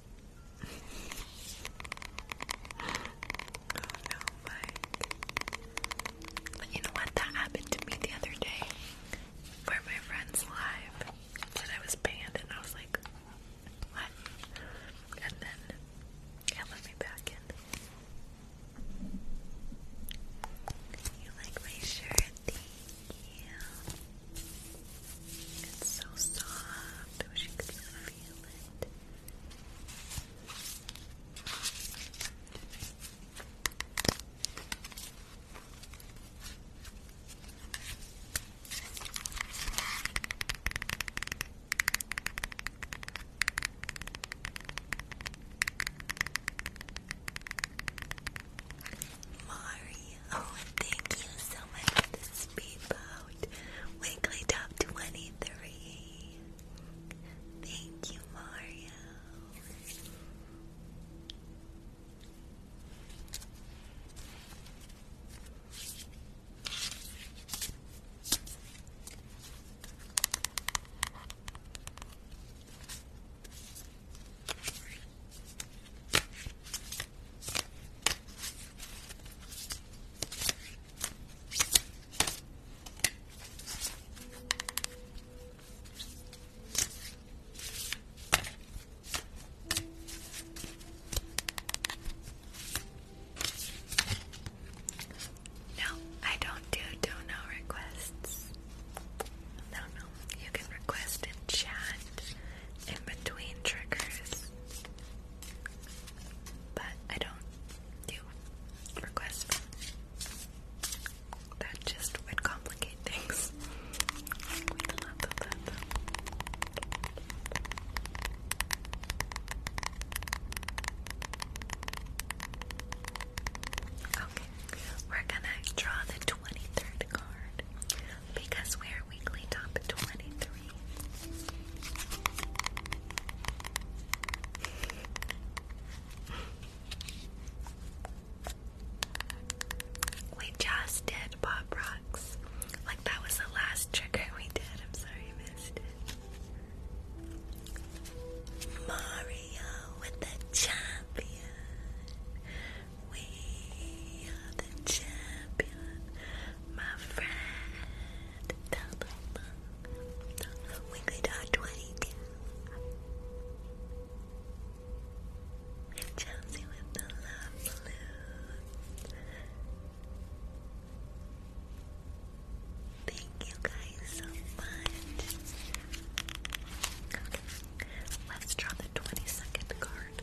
Speaker 1: no, But you know what? That happened to me the other day for my friend's live. said I was banned, and I was like, what? And then it let me back in. You like my shirt? Thank you. It's so soft. I wish you could feel it. Mario, [laughs] thank you so much for the speedball. Weekly top 23. Thank you, Mario. No, I don't do dono requests. No, no. You can request in chat in between triggers but I don't do requests. That just would complicate things. Okay, we're gonna draw the 23rd card because we're weekly top 23. We just did Pop Rocks. Like, that was the last trigger we did. I'm sorry you missed it. Mario with the champion. We are the champion, my friend. Wiggly Dog 22. Chelsea with the love blue. Thank you guys so much. Okay, let's draw the 22nd card.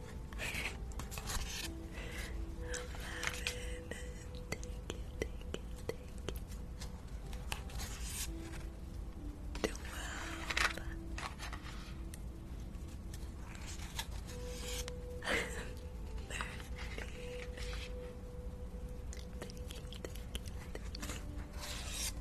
Speaker 1: Eleven. Thank you, thank you, thank you. Twelve. Thirteen. Thank you, thank you, thank you.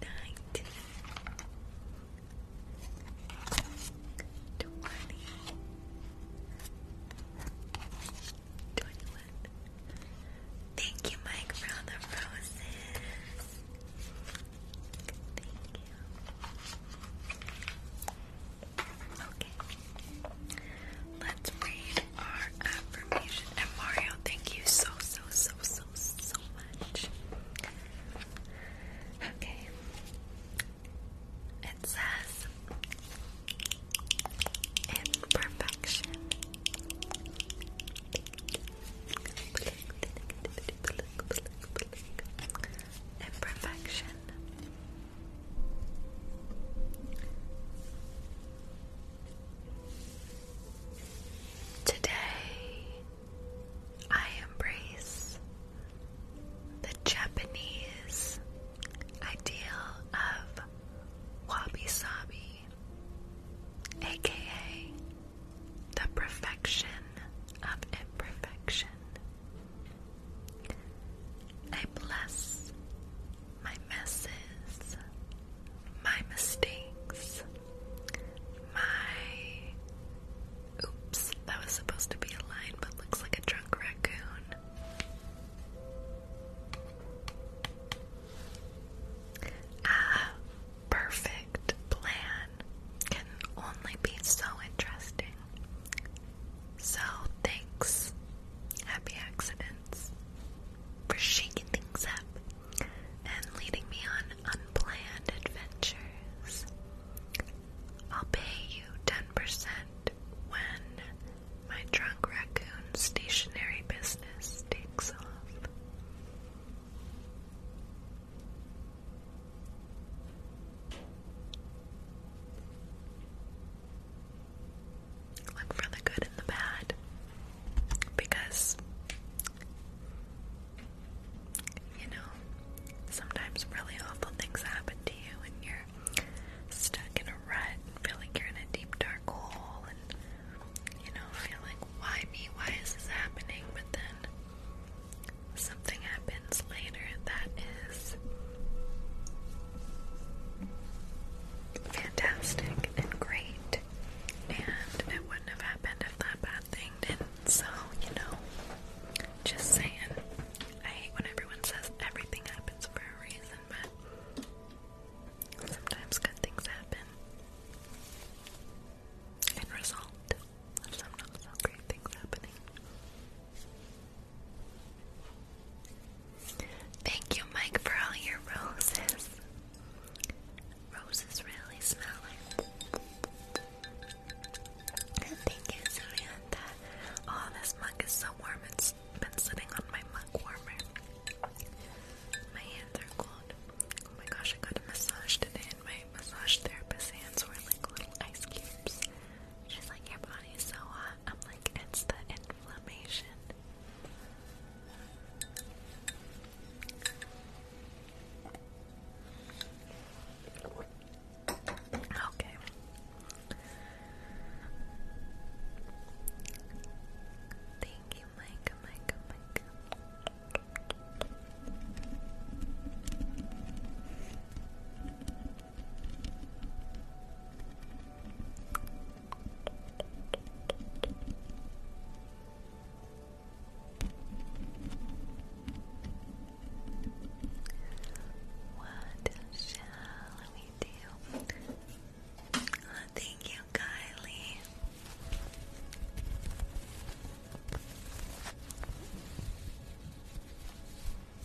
Speaker 1: Nineteen, twenty, twenty-one. Thank you, Mike, for the roses. Thank you. Okay. Let's read our affirmation. Mario, thank you so, so, so, so, so much. Okay. It says, in perfection. [laughs] and Today, I embrace the Japanese ideal of wabi sabi, aka the perfection of imperfection. I bless my messes, my mistakes, my. Oops, that was supposed to be a line, but looks like a drunk raccoon. Ah, perfect plan can only be so interesting. So thanks, Happy Accidents, for shaking things up and leading me on unplanned adventures. I'll pay you 10% when my drunk raccoon stationery business takes off. Look for the good and the bad because you know, sometimes really awful things happen to you and you're stuck in a rut and feel like you're in a deep dark hole and you know, feel like why me? Why is this happening? But then something happens later that fantastic and great, and it wouldn't have happened if that bad thing didn't. So, you know, just saying. I hate when everyone says everything happens for a reason, but sometimes good things happen and result of some not so great things happening. Thank you, Mike, for all your roses. Roses really smell like. Thank you, Samantha. Oh, this mug is so warm. It's been sitting on my mug warmer. My hands are cold. Oh my gosh, I got a massage today, and my massage therapist's hands were like little ice cubes. She's like, Your body's so hot. I'm like, It's the inflammation. Okay. Thank you, Mike, Mike, Mike. What shall we do? Oh, thank you, Kylie.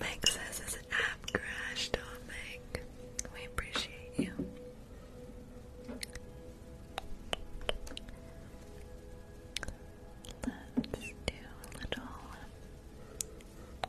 Speaker 1: Meg says it's an app crash, do Meg. We appreciate you. Let's do a little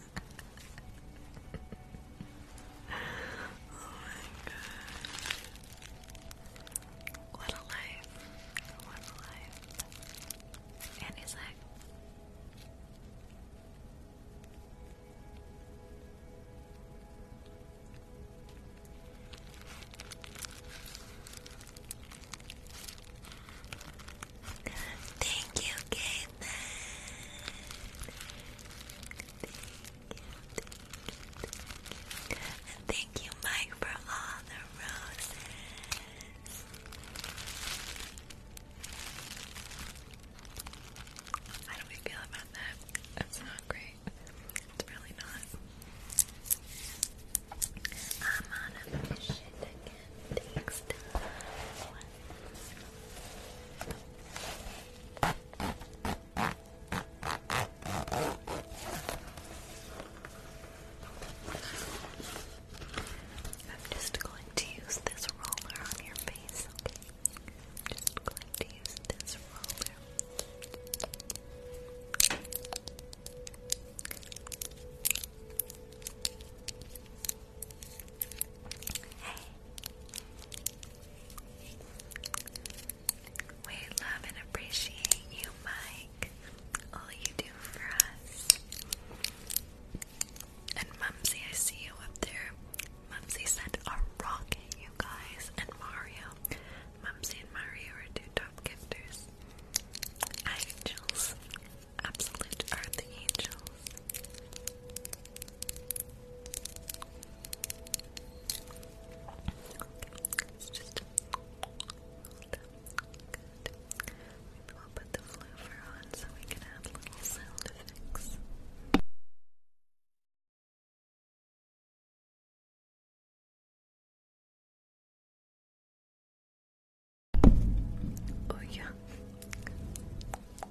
Speaker 1: Oh god. What a life. What a life. And he's like Thank you, Caitlin. Thank you, thank you, thank you. And thank you, Mike, for all the roses. How do we feel about that? That's not great. It's really not. I'm on a mission to the I'm just going to use this roller on your face, okay? Just going to use this roller. We love and appreciate you, Mike. All you do for us. And Mumsy, I see you up there. Mumsy sent a rocket, you guys, and Mario. Mumsy and Mario are two top gifters. Angels. Absolute are the angels. It's just good. Maybe put the floofer on so we can add little sound effects. Oh yeah.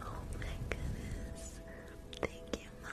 Speaker 1: Oh my goodness. Thank you, Mom.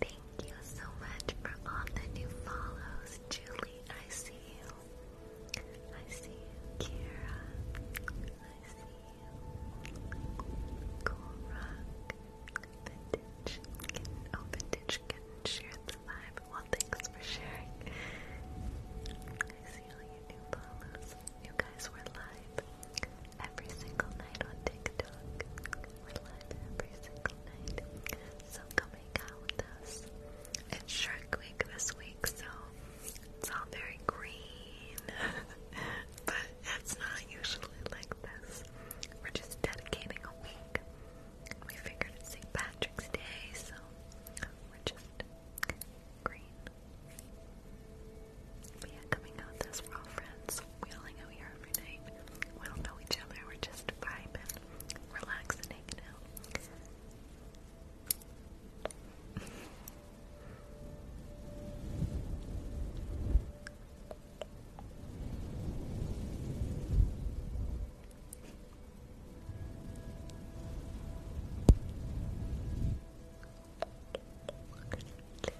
Speaker 1: Thank you so much for all the new follows, Julie. I see you. I see Kira. I see Cool Rock. Vintage. oh, Vintage can share the vibe. Well, thanks for sharing. I see all your new follows. You guys were live every single night on TikTok. We're every single night. So come out with us. It's Shark Week this week, so it's all very green. [laughs] but it's not usually like this. We're just dedicating a week. We figured it's St. Patrick's Day, so we're just green. But yeah, coming out this, we're all friends we all hang out here don't know each other, we're just vibing, relaxing, hanging [laughs]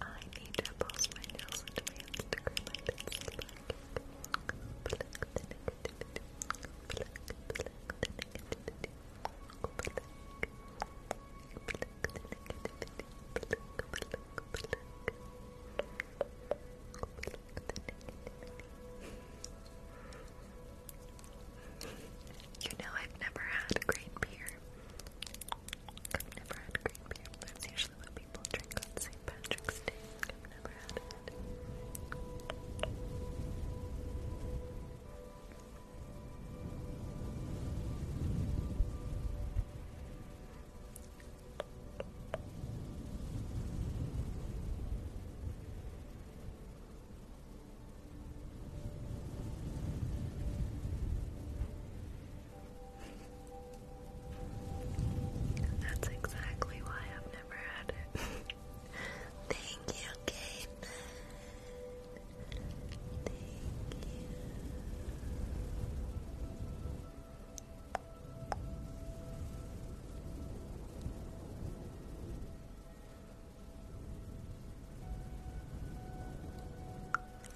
Speaker 1: I need to post my nails into my Instagram. I think it's black. You know, I've never had green beer. I've never had green beer. That's usually what people drink on St. Patrick's Day. I've never had that's exactly why I've never had it. [laughs] Thank you, Kate. Thank you.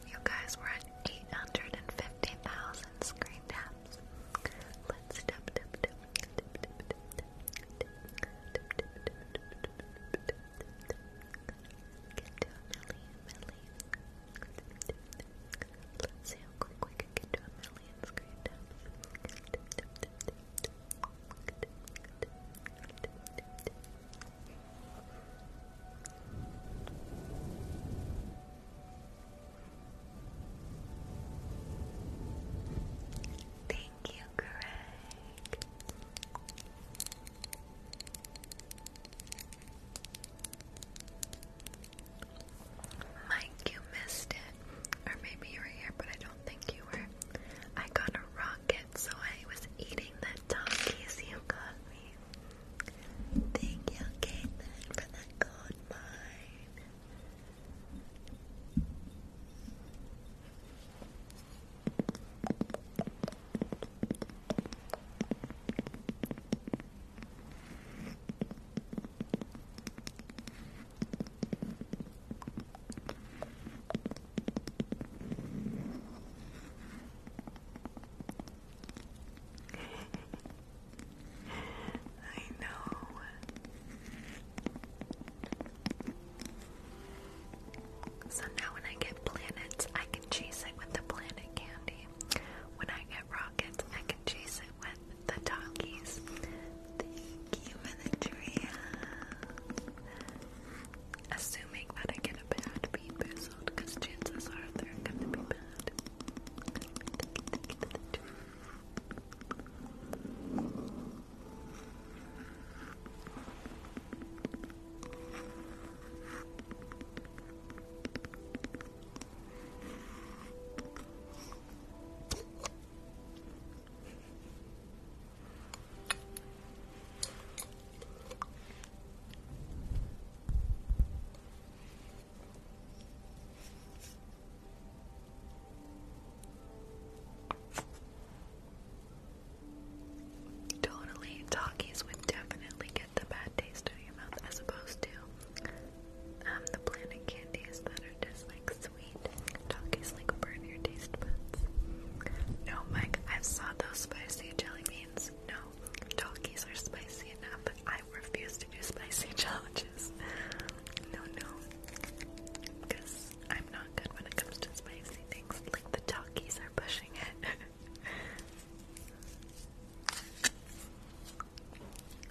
Speaker 1: You guys were at 850,000 screen taps. Let's tap tap Let's see how quick we can get a million Thank you, Greg. Mike, you missed it. Or maybe you were here, but I don't think you were. I got a rocket, so I was eating the donkeys you got me. Thank you, Caitlin, for the gold mine. I know. So now when I get planets, I can chase it with the planet candy. When I get rockets, I can chase it with the donkeys. Thank you for Assuming that I get a bad bee because chances are they're gonna be bad. Totally, talkies would definitely get the bad taste out your mouth as opposed to um, the planet candies that are just like sweet. Talkies like burn your taste buds. No, Mike, I saw those spicy jelly beans. No, talkies are spicy enough. I refuse to do spicy [laughs] challenges. No, no, because I'm not good when it comes to spicy things. Like the talkies are pushing it.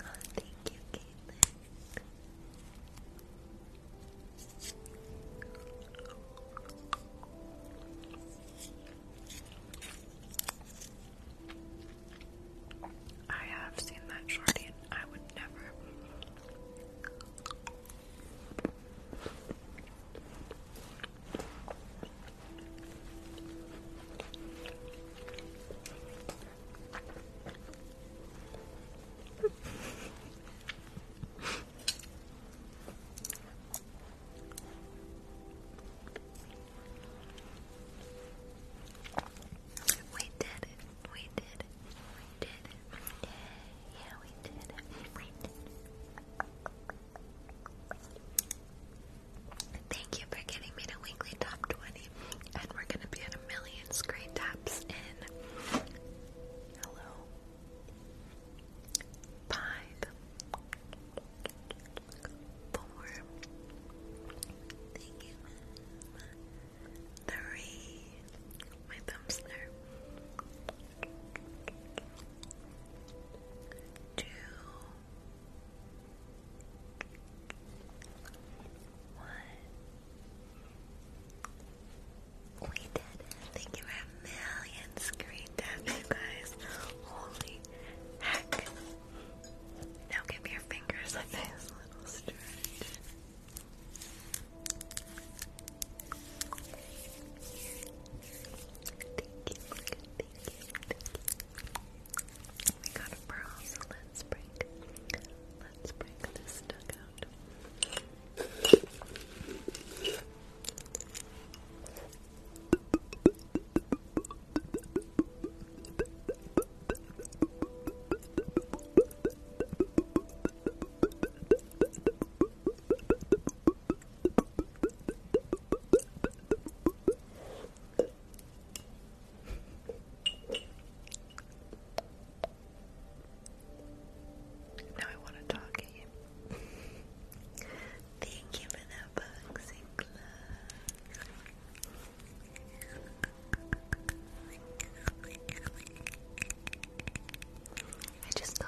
Speaker 1: Oh, [laughs] thank you, Caitlin. I have seen that shorty I would never. We did it. We did it. We did it. Yeah, we did We did Thank you for getting me to weekly top 20 and we're gonna be at a million screen taps in. Hello. Five. Four. Three. My thumbs there. Two. What? We did Thank you for a million screen taps, you guys. Holy heck. Now give your fingers a little stretch. Thank you, thank you, thank you. We got a pearl, so let's break this duck out. Now I want to talk [laughs] Thank you for that boxing glove. I just go.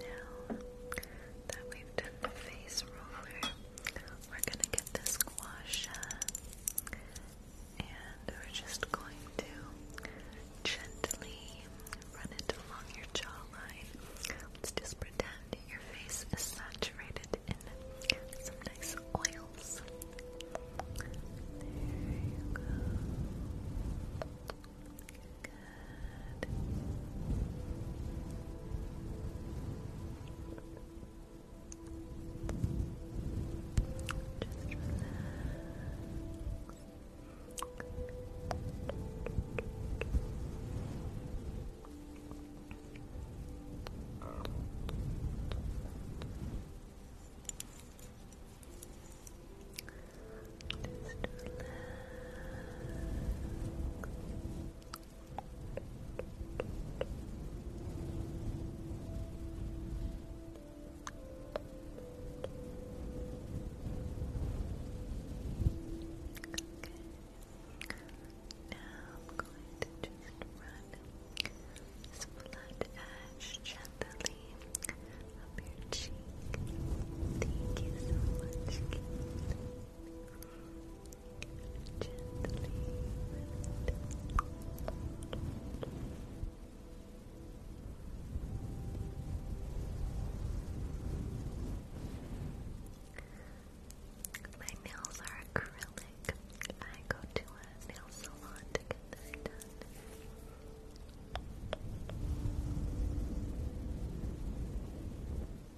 Speaker 1: Now that we've done the face roller, we're gonna get this guasha and we're just going to gently run it along your jawline. Let's just pretend your face is saturated in some nice oils. There you go. Good. Just relax just blood ash gently up your cheek. Thank you so much. Thank you. My nails are acrylic. I go to a nail salon to get them done.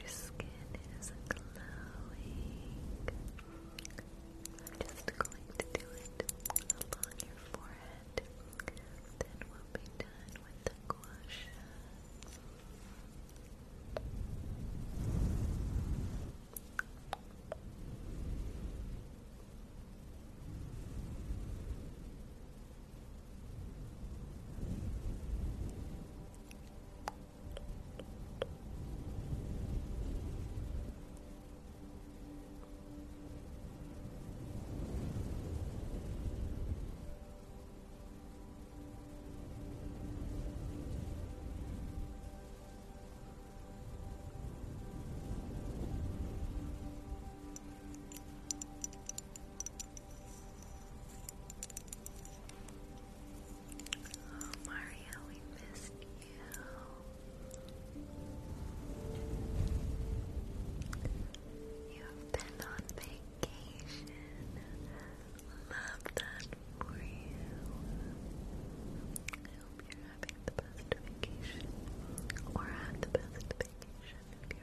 Speaker 1: Just Good. Your skin is glowing. I'm just going to do it along your forehead. Then we'll be done with the gua Oh, Mario, we missed you you. You've been on vacation. Love that for you. I hope you're having the best vacation. Or had the best vacation if you're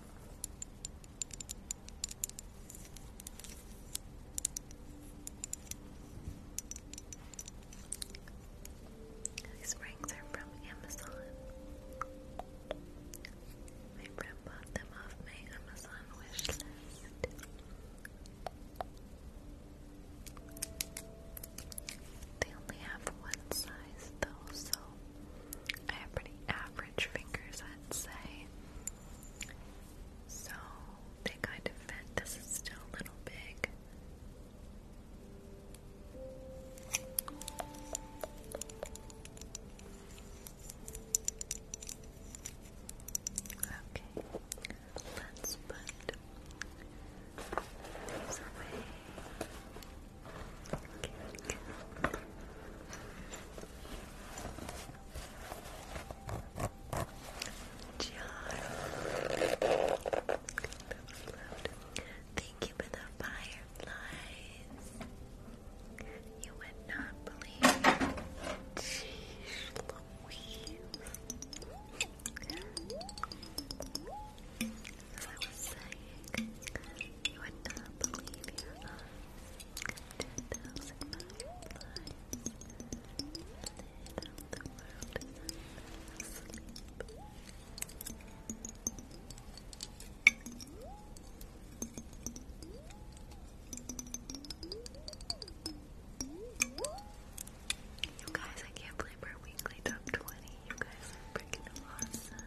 Speaker 1: These rings are from Amazon. My friend bought them off my Amazon wish They only have one size though, so I have pretty average fingers, I'd say. So they kind of fit. This is still a little big. Okay, let's put these away. Thank you for the fireflies. You would not believe Jeez Louise.
Speaker 2: As I was saying, you would not believe your eyes. Ten thousand million lives. They know the world asleep. You guys, I can't believe we're weekly top 20. You guys are freaking awesome.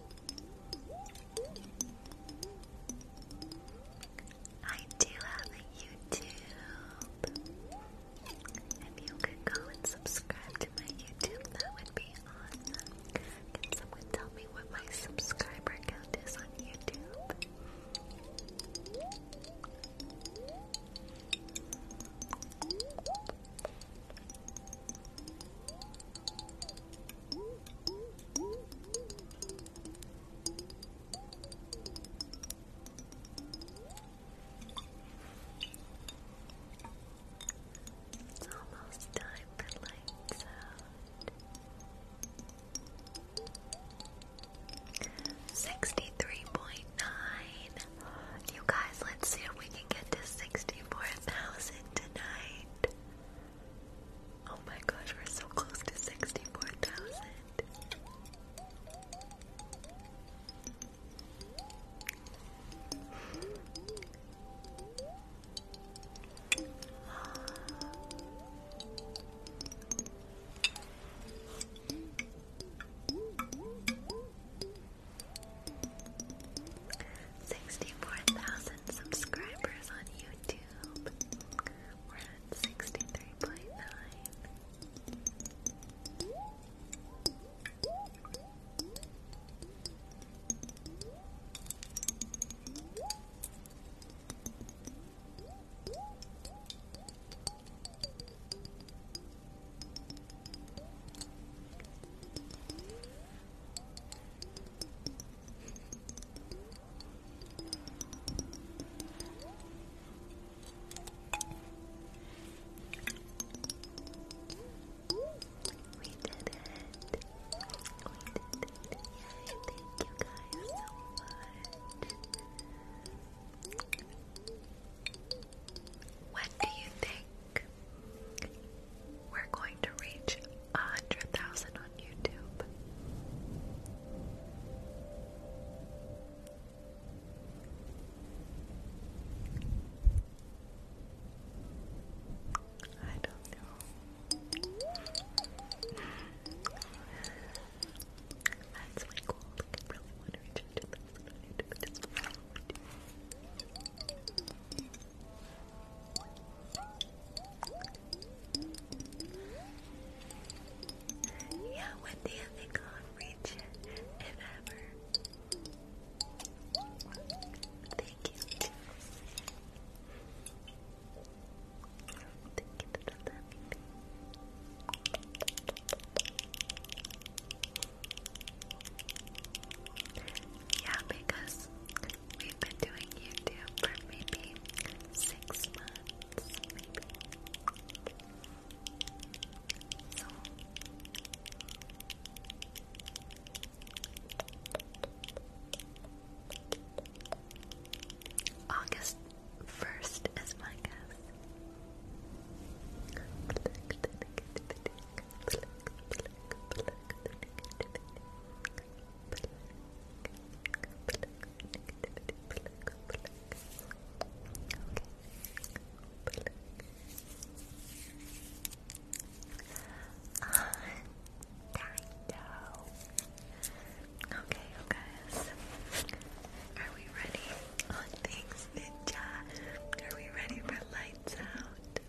Speaker 2: I do have a YouTube.
Speaker 1: If you could go and subscribe to my YouTube, that would be awesome. Can someone tell me what my subscriber count is on YouTube? It's
Speaker 2: almost time for lights out.
Speaker 1: Sixty-three point nine. You guys, let's see if we can get to sixty-four thousand tonight. Oh my gosh, we're so close to 64,000. Sixty-four thousand subscribers on YouTube. YouTube. We're at 63.9. Thank
Speaker 2: we did it. We did it. Yay, thank you guys so much.
Speaker 1: When do you think we're going to reach a hundred thousand on YouTube. I don't know. That's my goal. Like, I really want to reach a yeah, with the ethic on reach it, ever. Thank you. Yeah, because We've been doing YouTube for maybe six months, maybe. August first is my guess. Okay, you Are we ready? thanks, Ninja. Are we
Speaker 2: ready for lights out?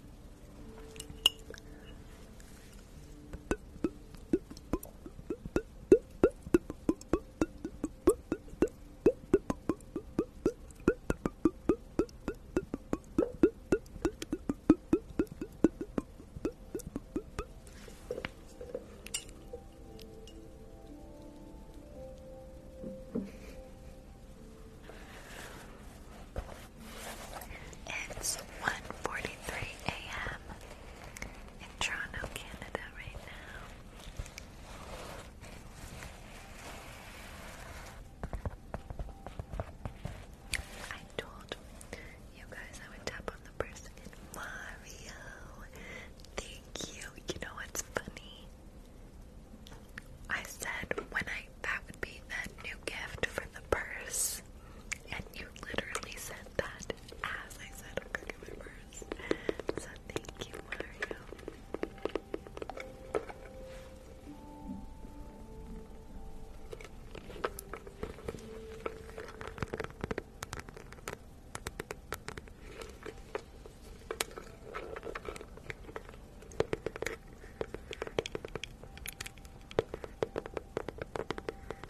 Speaker 2: It's
Speaker 1: one forty-three a.m in Toronto, Canada right now. I told you guys I would tap on the person in Mario. Thank you. You know what's funny? I said when I that would be that new gift for the purse, and you literally said that as I said, I'm gonna first. So thank you, Mario.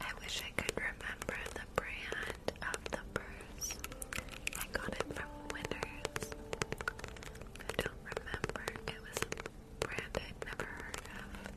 Speaker 1: I wish I could remember the brand of the purse. I got it from Winners. I don't remember. It was a brand I'd never heard of.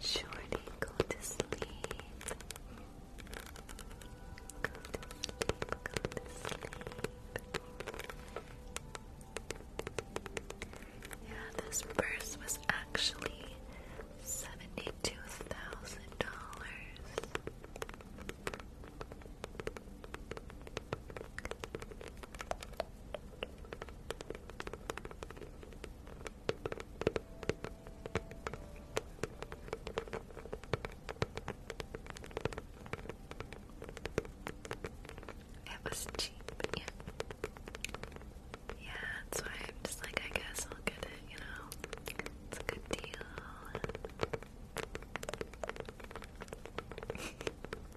Speaker 1: Shorty, go to sleep. Go to sleep, go to sleep. Yeah, this purse was actually $72,000. It was cheap, yeah. Yeah, that's why I'm just like, I guess I'll get it, you know? It's a good deal. [laughs]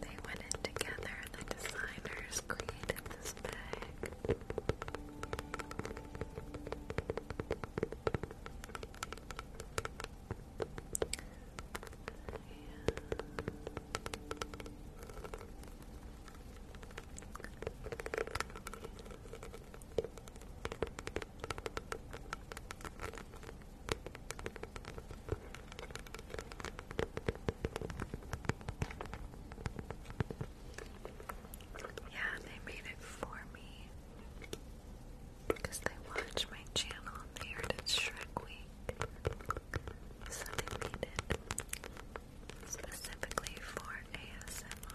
Speaker 1: They went in together, the designers created this bag. Yeah. Yeah, they made it for me because they watch my channel on the Heritage Shrek Week. So they made it specifically for ASMR.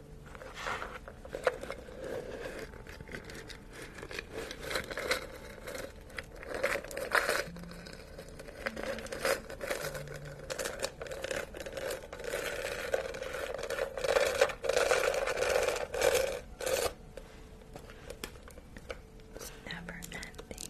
Speaker 1: It's never ending.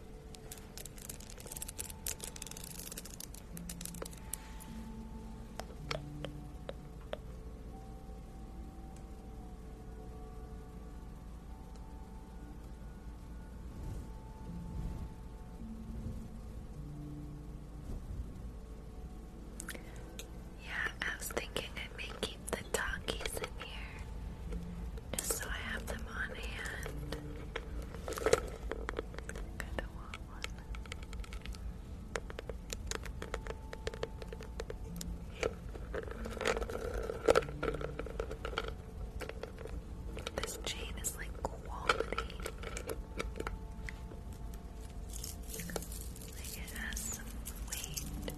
Speaker 1: Yeah, I was thinking I may keep the talkies in here just so I have them on hand. This chain is like quality. Like it has some weight.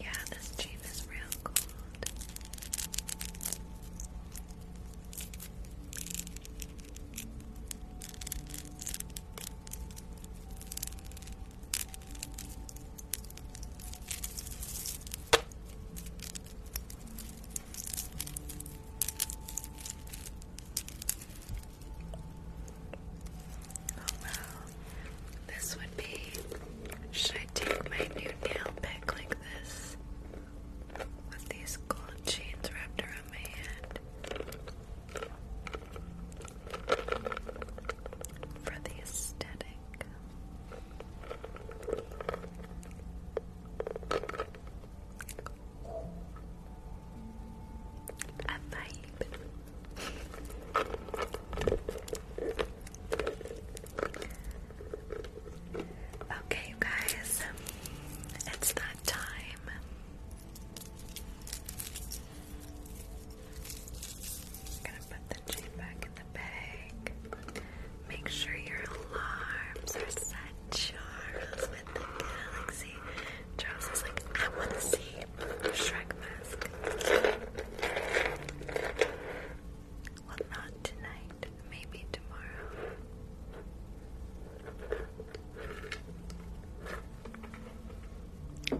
Speaker 1: Yeah, this cheap is real cold. Oh wow. This would be should I take my new nail pick like this? With these gold chains wrapped around my hand
Speaker 2: for the aesthetic.
Speaker 1: A vibe. Okay, guys, it's that time i gonna put the chain back in the bag. Make sure your alarms are set. Charles with the galaxy. Charles is like, I want to see Shrek mask. Well, not tonight. Maybe tomorrow.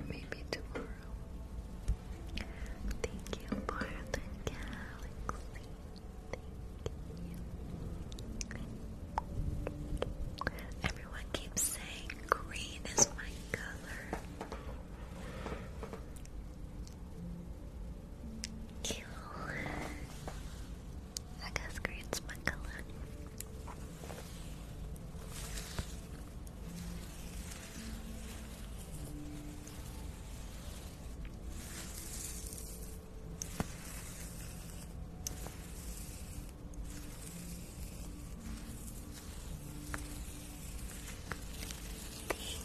Speaker 1: Maybe tomorrow. Thank you for the galaxy. Thank you. Everyone keeps saying green is my color. Cute. I guess green's my color.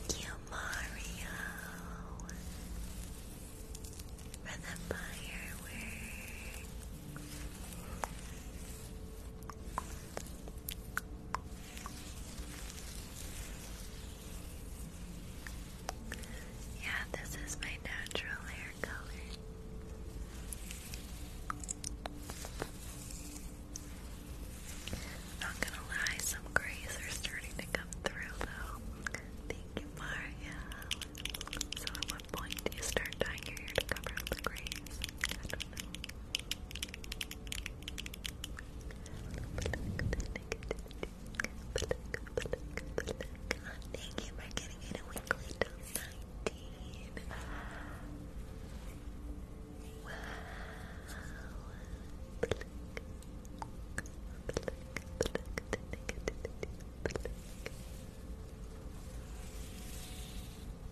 Speaker 1: Thank you, Mario, for the fireworks. Yeah, this is my natural hair color. Not gonna lie, some grays are starting to come through though. Thank you, Maria. So, at what point do you start dyeing your hair to cover up the grays? Thank you for getting it a weekly top 19. Wow. Thank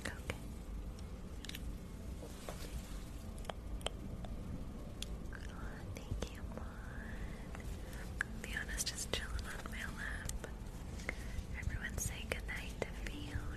Speaker 1: Okay. Oh, thank you, Mon. Fiona's just chilling on my lap. Everyone say goodnight to Fiona.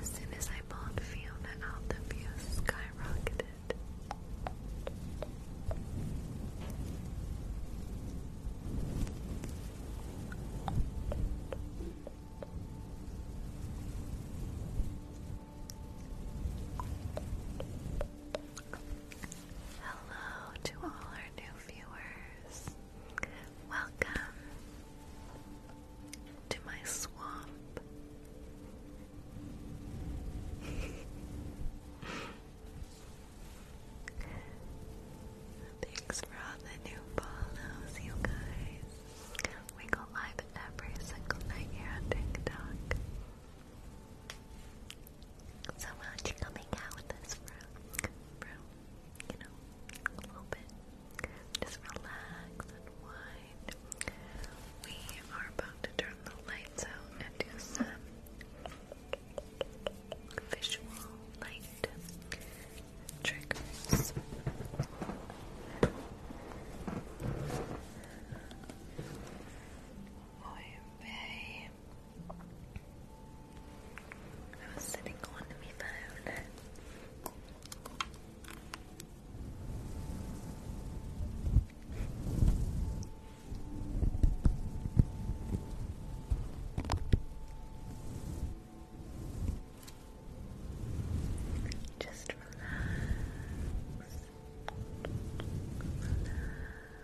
Speaker 1: As soon as I pulled Fiona out, the views skyrocketed. Hello to all our new viewers. Welcome to my swamp. [laughs] Thanks for all the new follows, you guys. We go live every single night here on TikTok. So much coming out with this bro, You know, a little bit. Just relax and wind. We are about to turn the lights out and do some visual light triggers. Muy bien. I was sitting on my phone. Just Relax.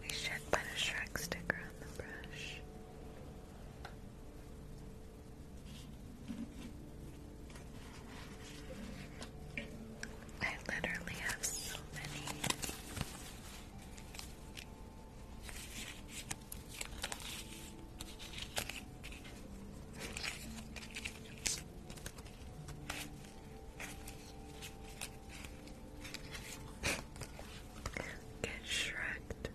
Speaker 1: We should put a Shrek sticker on the brush. I literally have so many. Get shreked.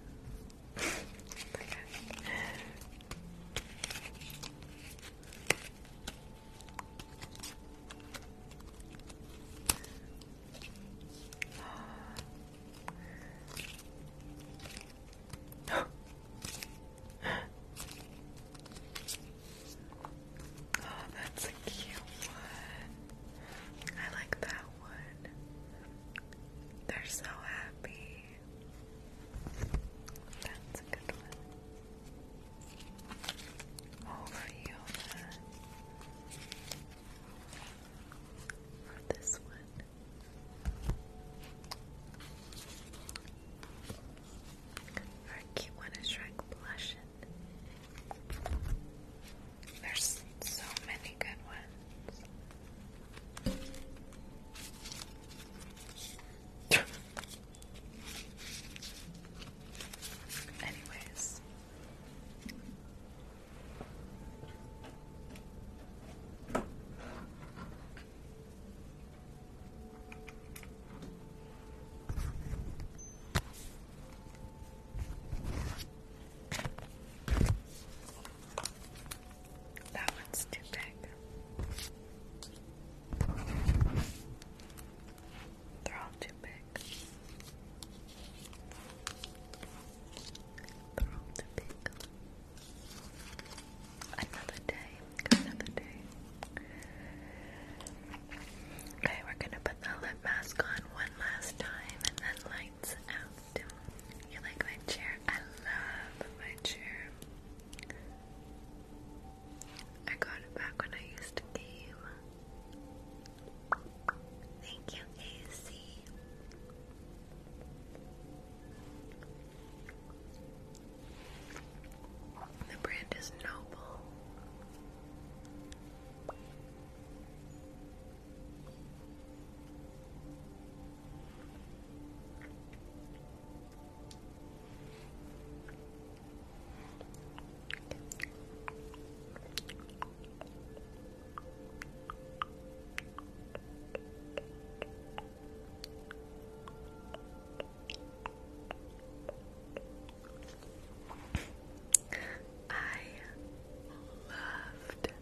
Speaker 1: [gasps] oh, that's a cute one. I like that one. They're so happy. That's a good one. Oh, Fiona. This one.
Speaker 2: Our cute one is Shrek blushing. There's so many good ones. [laughs] Anyways.
Speaker 1: That one's too big. They're all too big. They're all too big. Another day, another day. Okay, we're gonna put the lip mask on one last time and then lights out. You like my chair? I love my chair. I got it back when I used to game. Thank you, AC. The brand is Noble. I loved.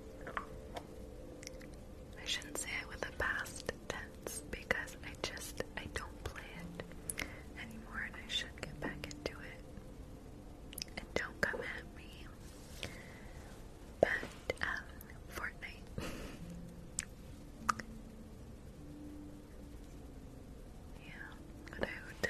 Speaker 1: I shouldn't say it with the past tense because I just I don't play it anymore, and I should get back into it. And don't come at me but um, Fortnite. [laughs] yeah, without.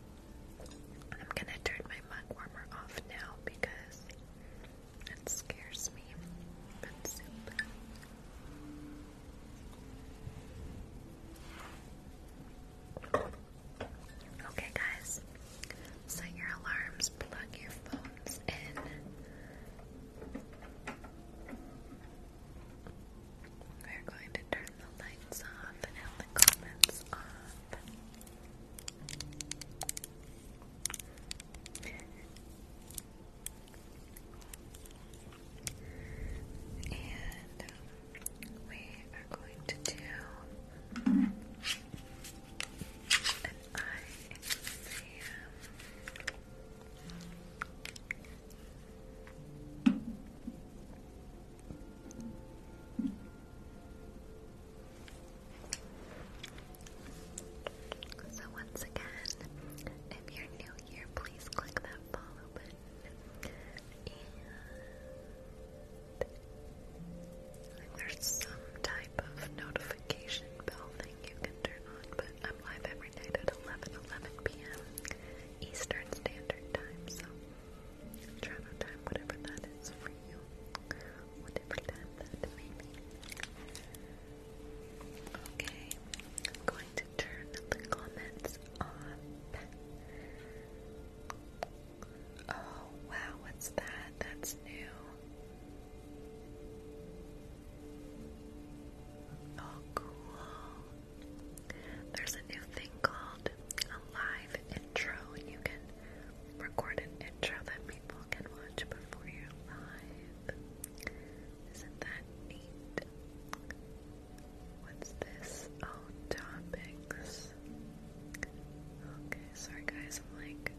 Speaker 1: I'm gonna turn my mug warmer off now because it scares me. Okay, guys, set your alarms, plug your phones in. We're going to turn the lights off and the comments off. And um, we are going to do an eye exam. So once again, if you're new here, please click that follow button. And there's some type of notification bell thing you can turn on, but I'm live every night at 11, p.m. Eastern Standard Time, so travel time, whatever that is for you, whatever time that may Okay, I'm going to turn the comments off. Oh wow, what's that? That's new. Oh, cool. There's a new thing called a live intro, and you can record an intro that people can watch before you live. Isn't that neat? What's this? Oh, topics. Okay, sorry guys, I'm like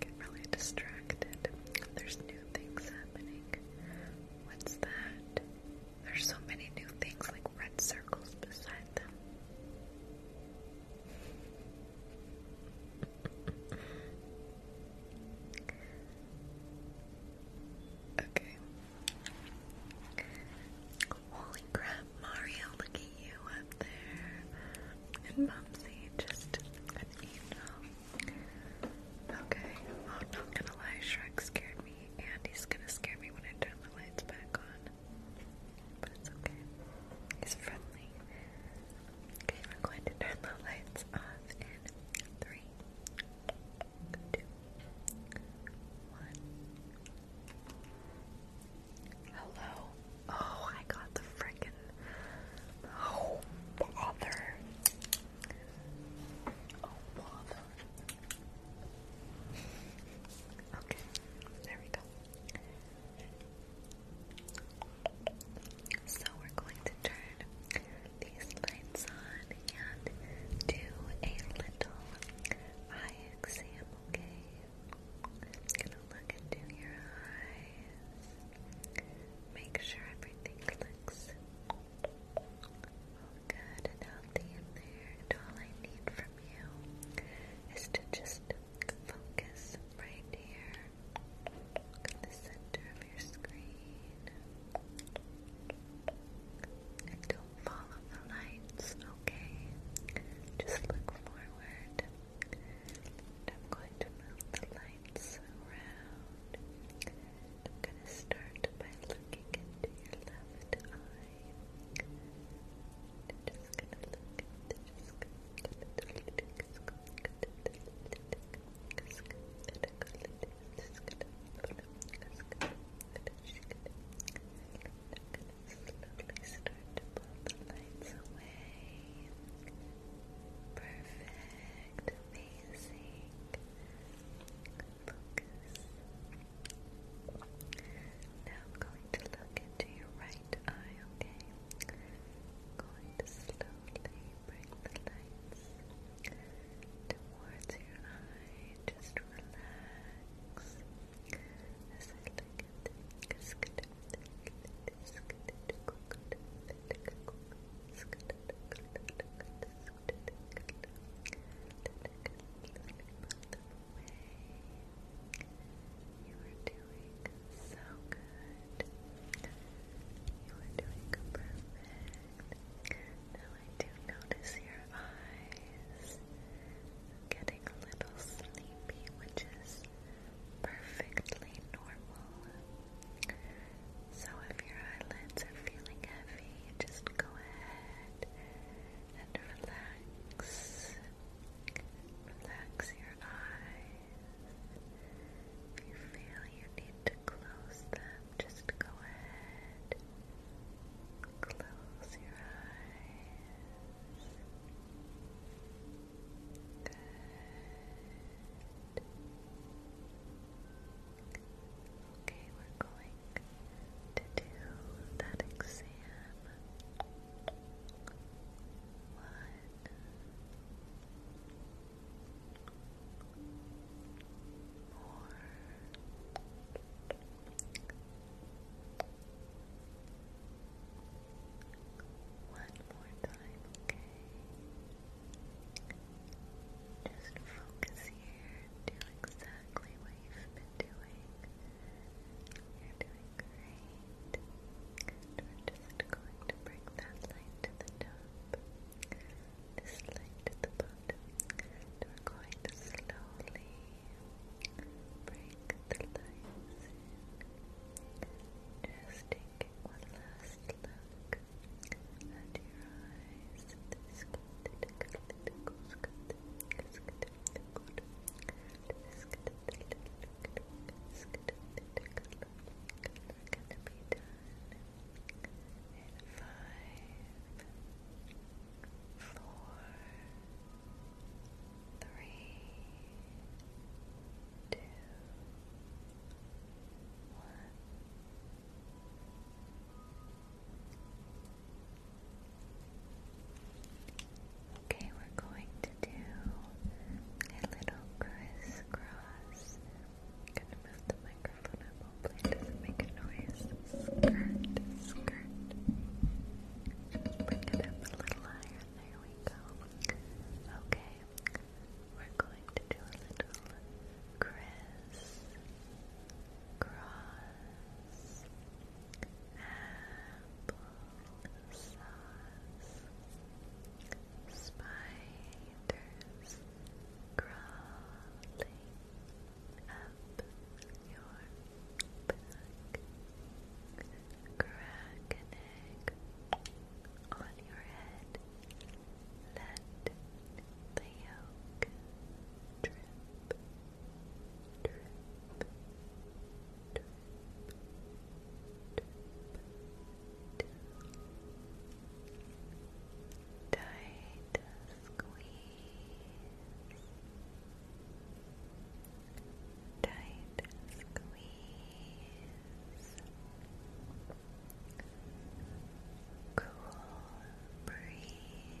Speaker 1: get really distracted. There's new things happening. What's that? There's so many new things like red circles beside
Speaker 2: okay. Holy crap, Mario, look at you up there. And
Speaker 1: Mumsy, just an angel. Okay, I'm not gonna lie, Shrek scared me, and he's gonna scare me when I turn the lights back on it's okay. He's friendly. Okay, we're going to turn the lights off in three, two, one. Hello. Oh, I got the frickin' oh bother. Oh bother. Okay, there we go. So we're going to turn these lights on and do a little eye exam, okay? gonna look into your eyes. Make sure everything looks good and healthy And all I need from you is to just focus right here in the center of your screen. And don't follow the lights, okay? Just look forward. I'm going to move the lights around. I'm going to start by looking into your left eye. Just gonna look at the scoop. Slowly start to pull the lights away. Perfect, amazing. Focus, now I'm going to look into your right eye, okay? going to slowly bring the lights towards your eye. Just relax away. You are doing so good. You are doing perfect. Now I do notice your eyes getting a little sleepy, which is perfectly normal. So if your eyelids are feeling heavy, just go ahead and relax. Relax your eyes. If you feel you need to close them, just go ahead. Close your eyes. Good. Okay, we're going to do that exam. One. more time, okay? Just focus here. Do exactly what you've been doing. You're doing great. we're just going to bring that light to the top, this light to the bottom, we're going to slowly bring the lights in. Just take one last look at your eyes. This good, good, good, good, good, gonna be done in five, four, three, two, one. Okay, we're going to do a little crisscross. I'm gonna move the microphone up, hopefully it doesn't make a noise. Skirt, skirt. Just it up a little higher. There we go. Okay, we're going to do a little criss cross apple sauce, spiders crawling up your back, crack on your head, let the yolk drip drip, drip, Tight squeeze, tight squeeze. Cool breeze,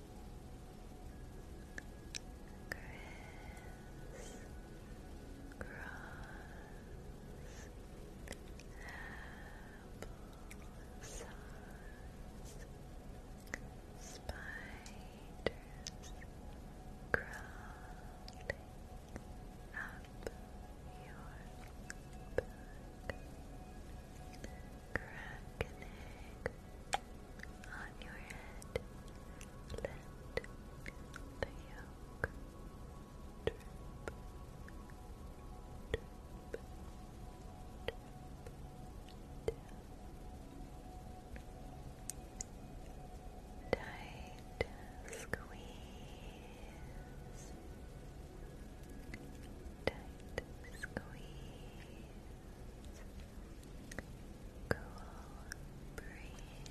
Speaker 1: Chris Cross Spiders crawling up your back Crack an on your head. Let the Tight squeeze. Tight squeeze cool breeze.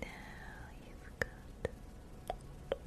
Speaker 1: Now you've got now you've got the tingles.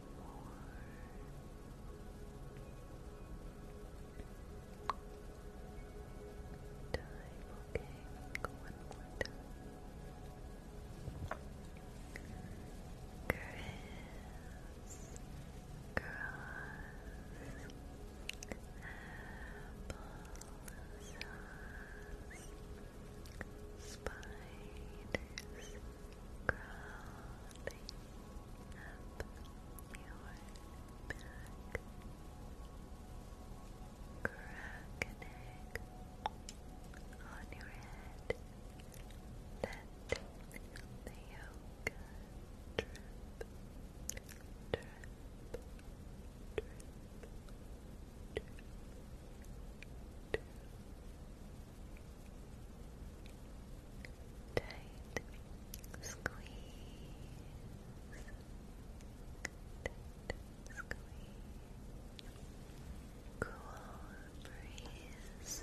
Speaker 2: time, okay, one more time. Chris, cross, apple spiders, crawling up your back. Crack on your head. Let the yolk drip, drip, drip, drip, drip. Tight squeeze. Tight squeeze. Cool breeze.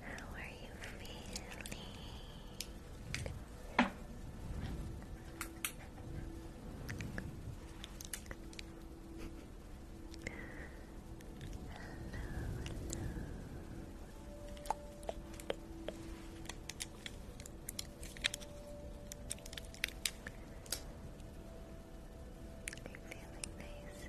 Speaker 2: How are you feeling? Hello, Are you feeling nice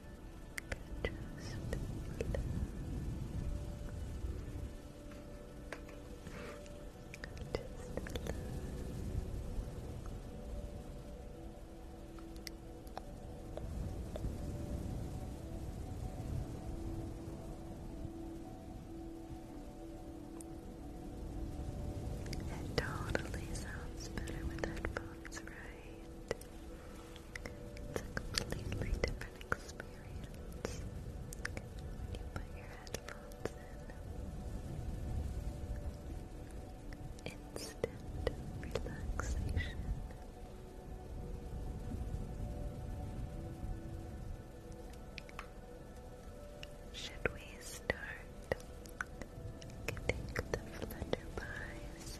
Speaker 2: Just relax.
Speaker 1: It totally sounds better with headphones, right? It's a completely different experience when you put your headphones in. Instant relaxation. Should we start getting the flutterby's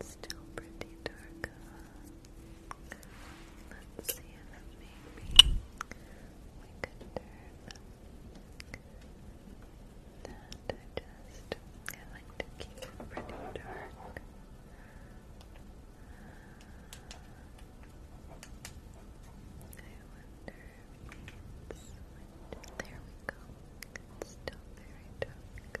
Speaker 1: It's still pretty dark. Uh, let's see if maybe we could turn that. I just I like to keep it pretty dark. I wonder if There we go. still very dark.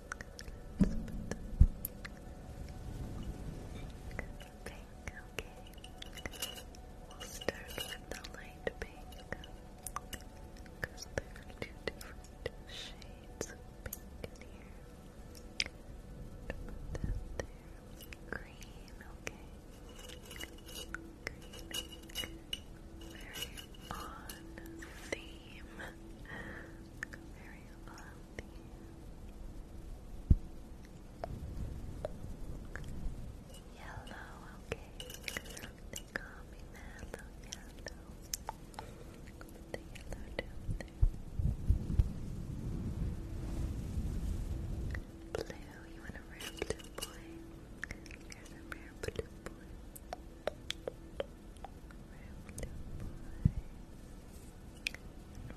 Speaker 1: Pink, okay. We'll start with the light pink. Because there are two different shades of pink in here. Put that Green, okay. Very on theme. [laughs] Very on Yellow, okay. They call me yellow. The yellow down Blue, you want a rare blue boy? Here's a Rare blue boy.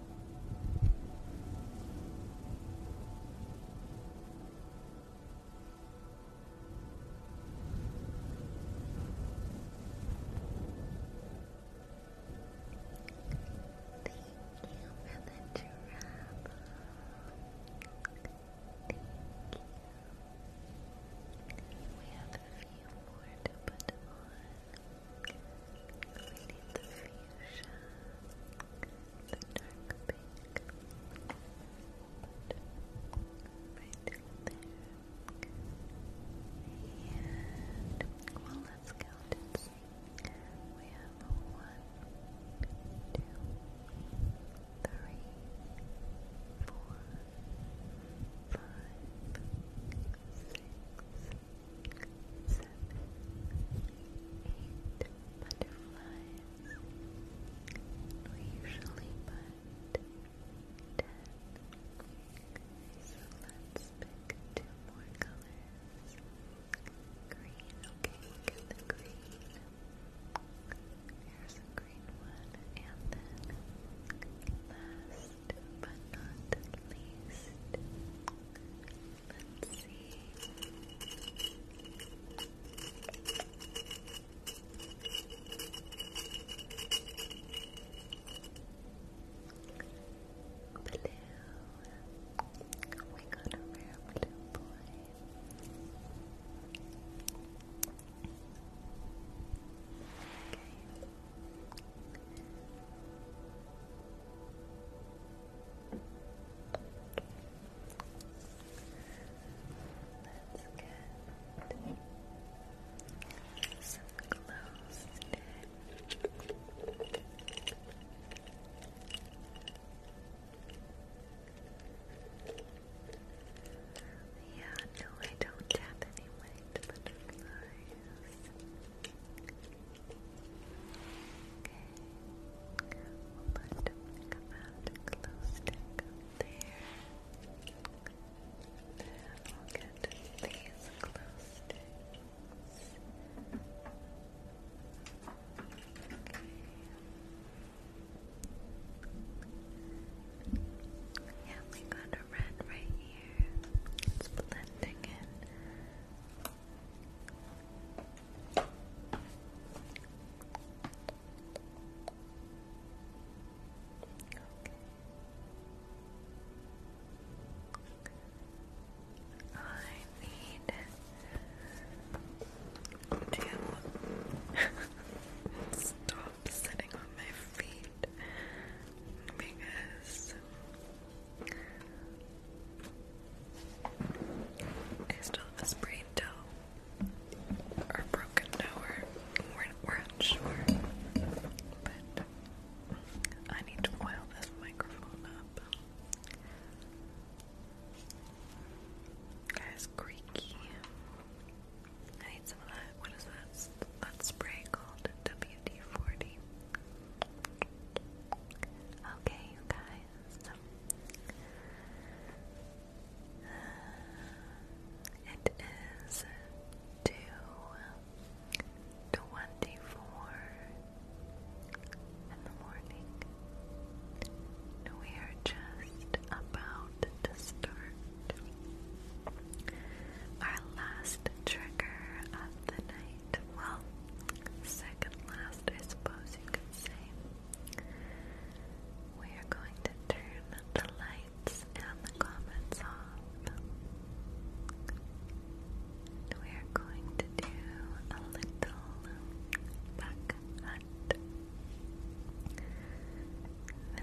Speaker 2: Thank you for the Thank We have a few more to put on. We need the fuchsia the dark let's count and we have one, two, three, four, five, six, eight butterflies. We usually put ten. So let two more colors. Green, okay, the green. Here's a green one, and then last but not least, Let's Blue. We got a rare blue boy. Okay get some clothes in. Yeah, no, I don't tap any white Okay. We'll put the glow stick up there. We'll get these glow Okay. Yeah, we got a red right here. It's blending in. I need to stop sitting on my feet because I still have a sprained toe or broken toe, we're, unsure, but I need to oil this microphone up. Guys, creaky. I need some of that. What is that? That spray called WD-40. Okay, guys. So uh, it is two twenty-four in the morning. We are just about to
Speaker 1: start our last trigger of the night right. Well, second last, I suppose you could say. We are going to turn the lights and the comments off. We are going to do a little back hunt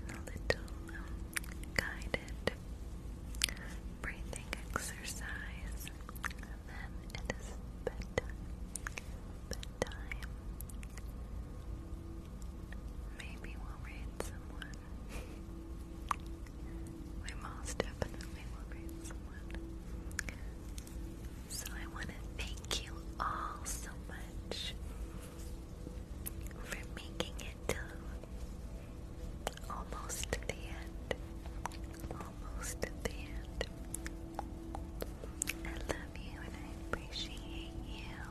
Speaker 1: and a little guided breathing exercise them it is bedtime. Bedtime. Maybe we'll read someone. we most definitely read someone. So I want to thank you all so much for making it to almost the end almost at the end. I love you and I appreciate you.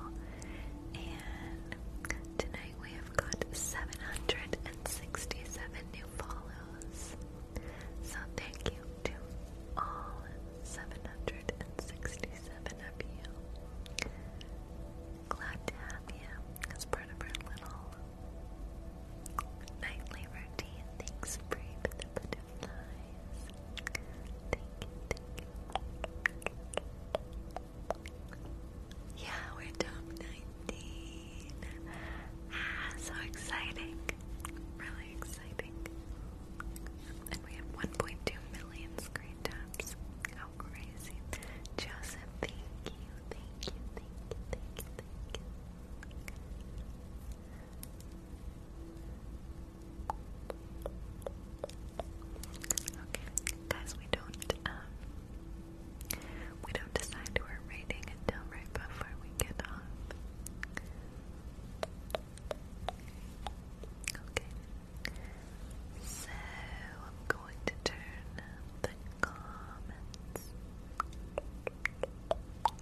Speaker 1: And tonight we have got 767 new follows. So thank you to all 767 of you. Glad to have you as part of our little nightly routine. Thanks, Bree, yeah, we're top ah, so exciting. Really exciting. And we have 1.2 million screen taps. How crazy. Joseph, thank you, thank you. Okay, guys, we don't um, we don't decide we're rating until right before we get off. Okay. So I'm going to turn the comments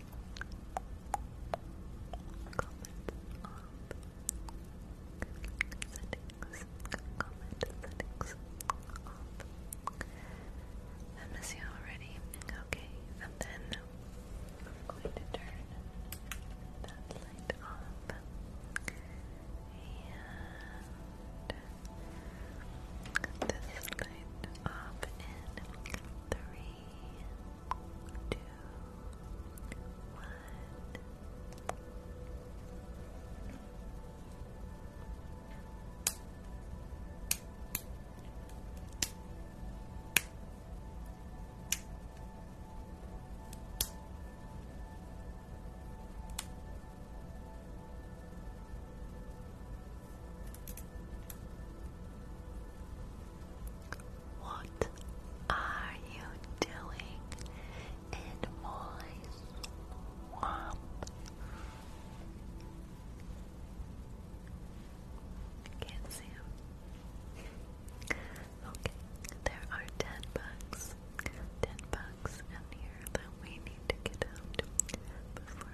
Speaker 1: settings off. I miss you already. Okay, and then I'm going to turn that light off. And this light off in three, two, one. Good. What are you doing in my swamp? can see him. Okay, there are ten bucks. Ten bucks in here that we need to get out before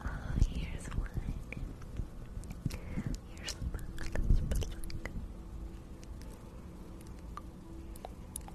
Speaker 1: Oh, here's one. Here's a book. Let's put like.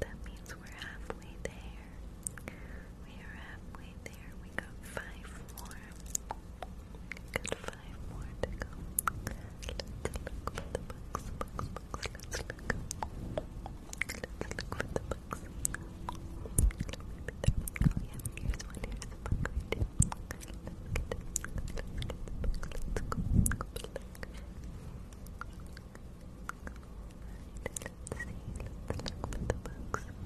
Speaker 1: That means we're halfway there. We are halfway there. We got five more. We five more to go. Let's look for the books, Let's look. for the books. Let's get it. the book. Let's go. Go back. let let's see. Let's look for the books. Look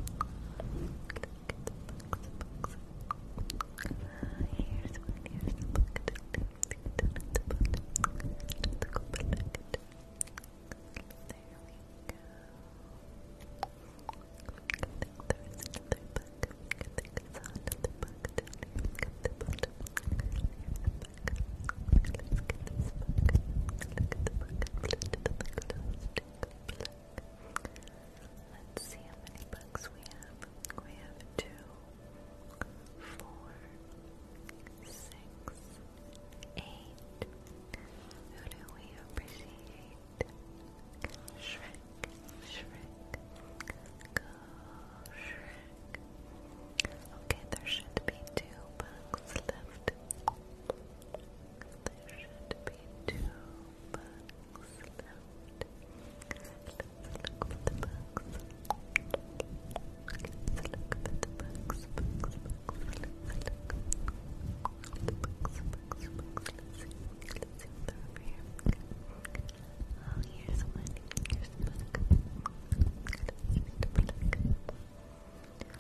Speaker 1: at the books, books. Uh, here's one, here's the book. Down at the bottom. Let's go back. There we go. I think there is another book. I think I saw another book down here. Look at the bottom. Here's the book. let Let's see how many books we have. We have two, four, six, eight. Who do we appreciate? Shrek, Shrek, go Shrek, Okay, there should be two bugs left. There should be two bugs left. Let's look for the bugs. Let's look for the bugs, bugs, bugs. Let's look. The bugs, bugs, bugs. Let's see. Let's see if they're over here. Okay. Oh, here's one. Here's the bug. Let's see the bug.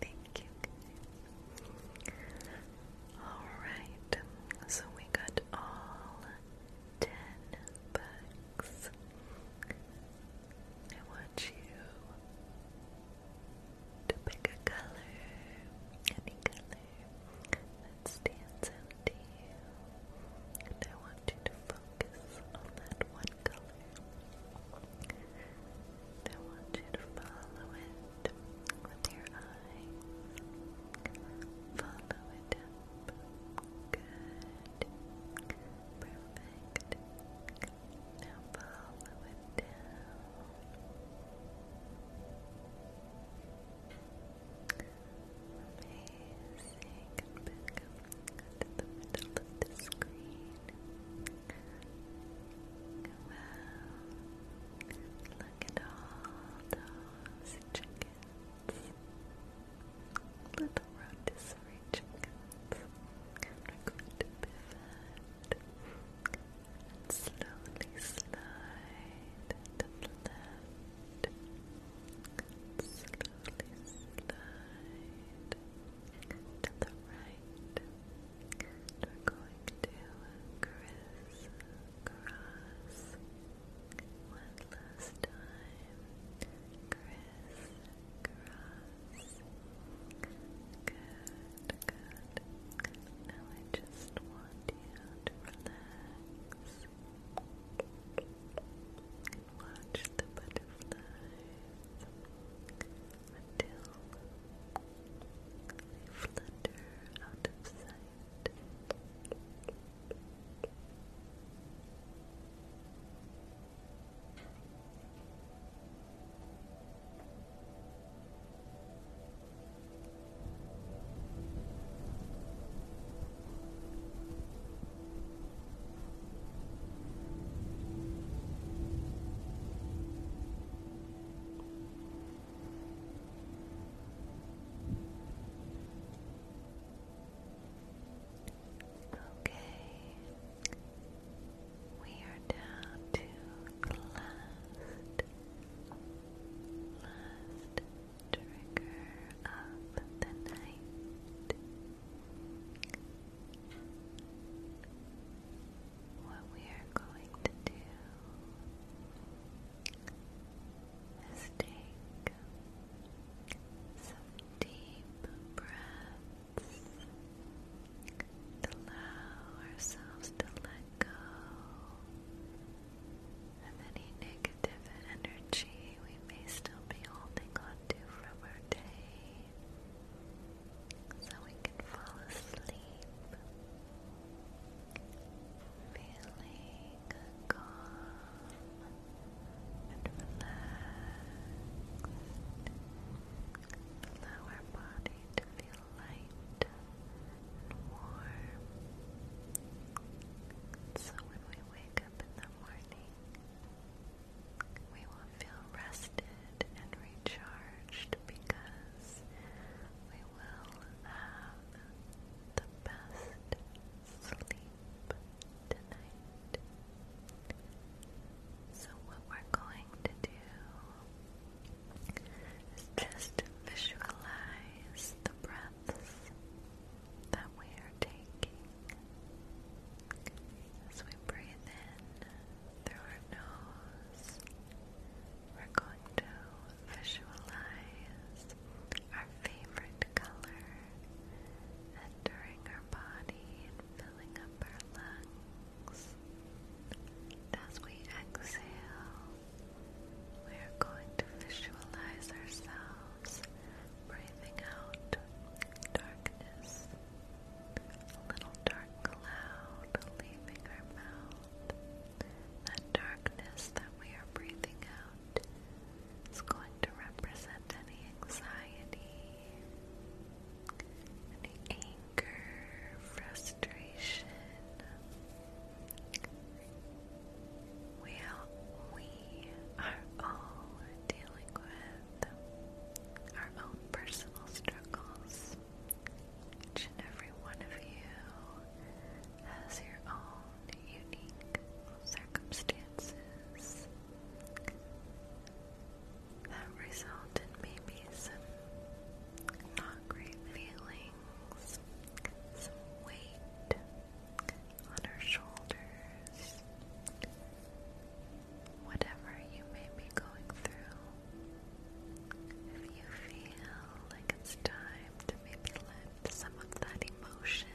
Speaker 1: Thank you Alright, so we got all ten books. I want you to pick a color, any color that stands out to you. And I want you to focus on that one color. I want you to follow it with your eyes. Follow it up. Good. Perfect. Now follow it down. Amazing. And back up to the middle of the screen. Wow. Look at all those chickens. Little rotisserie chickens. We're going to pivot and slowly slide to the left. Slowly slide to the right. We're going to criss one last time. Criss Good, good. Now I just want you to relax. Watch the butterflies until they flutter out of sight. Okay, we are down to last, last trigger of the night. What we are going to do is take some deep breaths to allow ourselves to let go of any negative energy we we may still be holding on to from our day, so we can fall asleep, feeling calm and relaxed. Allow our body to feel light and warm. So when we wake up in the morning, we will feel rested and recharged because we will have the best sleep tonight. So, what we're going to do is just visualize the breaths that we are taking as we breathe in through our nose. We're going to visualize
Speaker 2: our favorite color entering our body and filling up our lungs. As we exhale, we are going to visualize ourselves breathing out darkness, a little dark cloud leaving our mouth. That darkness that we are breathing out is going to represent any anxiety, any anger, frustration. We, we are all dealing with our own personal struggles.
Speaker 1: Each and every one of you has your own unique circumstances that result maybe some not great feelings, some weight, on her shoulders. Whatever you may be going through, if you feel like it's time to maybe let some of that emotion,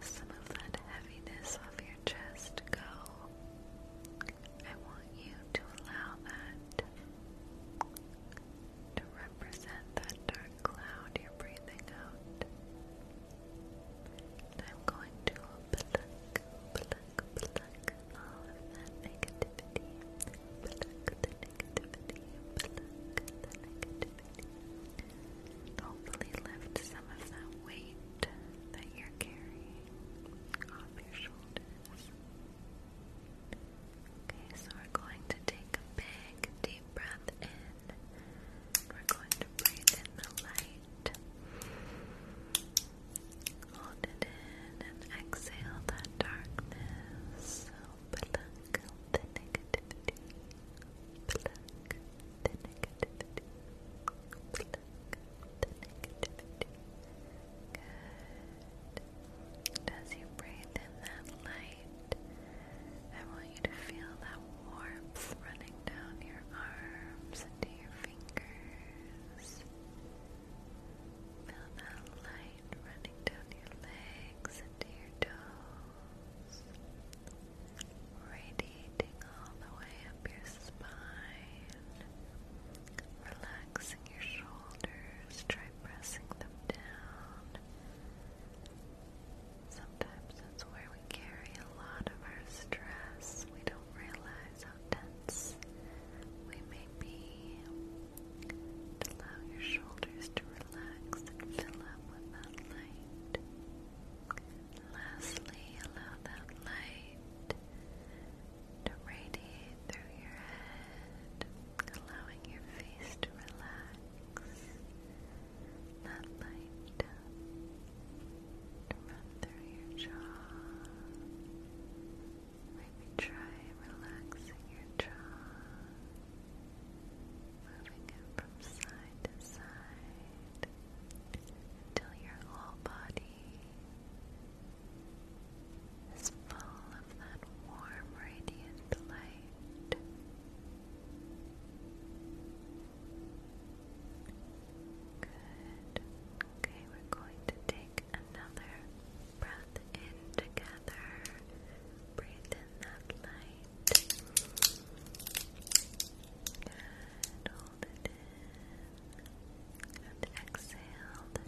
Speaker 1: some of that heaviness off your chest go, I want you to allow that to represent that dark cloud you're breathing out. I'm going to pluck, pluck, pluck all of that negativity. Pluck the negativity, pluck the negativity. And hopefully lift some of that weight that you're carrying off your shoulders. Okay, so we're going to take a big deep breath in. We're going to breathe in the light. Hold it in and exhale that darkness. the negativity. the negativity. the negativity. Good. And as you breathe in that light, I want you to feel that warmth running down your arms into your fingers. Feel that light running down your legs into your toes, radiating all the way up your spine, relaxing your shoulders, try pressing them down. Sometimes that's where we carry a lot of our stress. We don't realize how tense we may be. Allow your shoulders to relax and fill up with that light. Lastly, allow that light to radiate through your head, allowing your face to relax that light to run through your jaw. Maybe try relaxing your jaw, moving it from side to side until your whole body is full of that warm, radiant light. Good. Okay, we're going to take another breath in together. Breathe in that light. Good. Hold it in. exhale the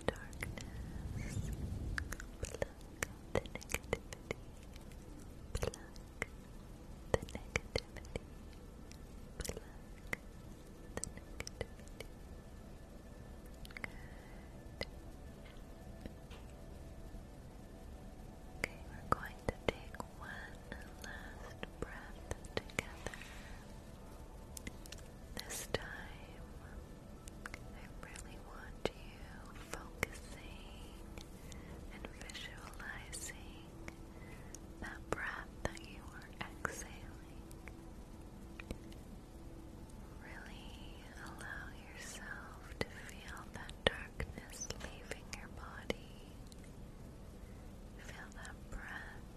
Speaker 1: darkness the negativity, pluck the negativity. Good. Okay, we're going to take one last breath together. This time, I really want you focusing and visualizing that breath that you are exhaling. Really allow yourself to feel that darkness leaving your body. Feel that breath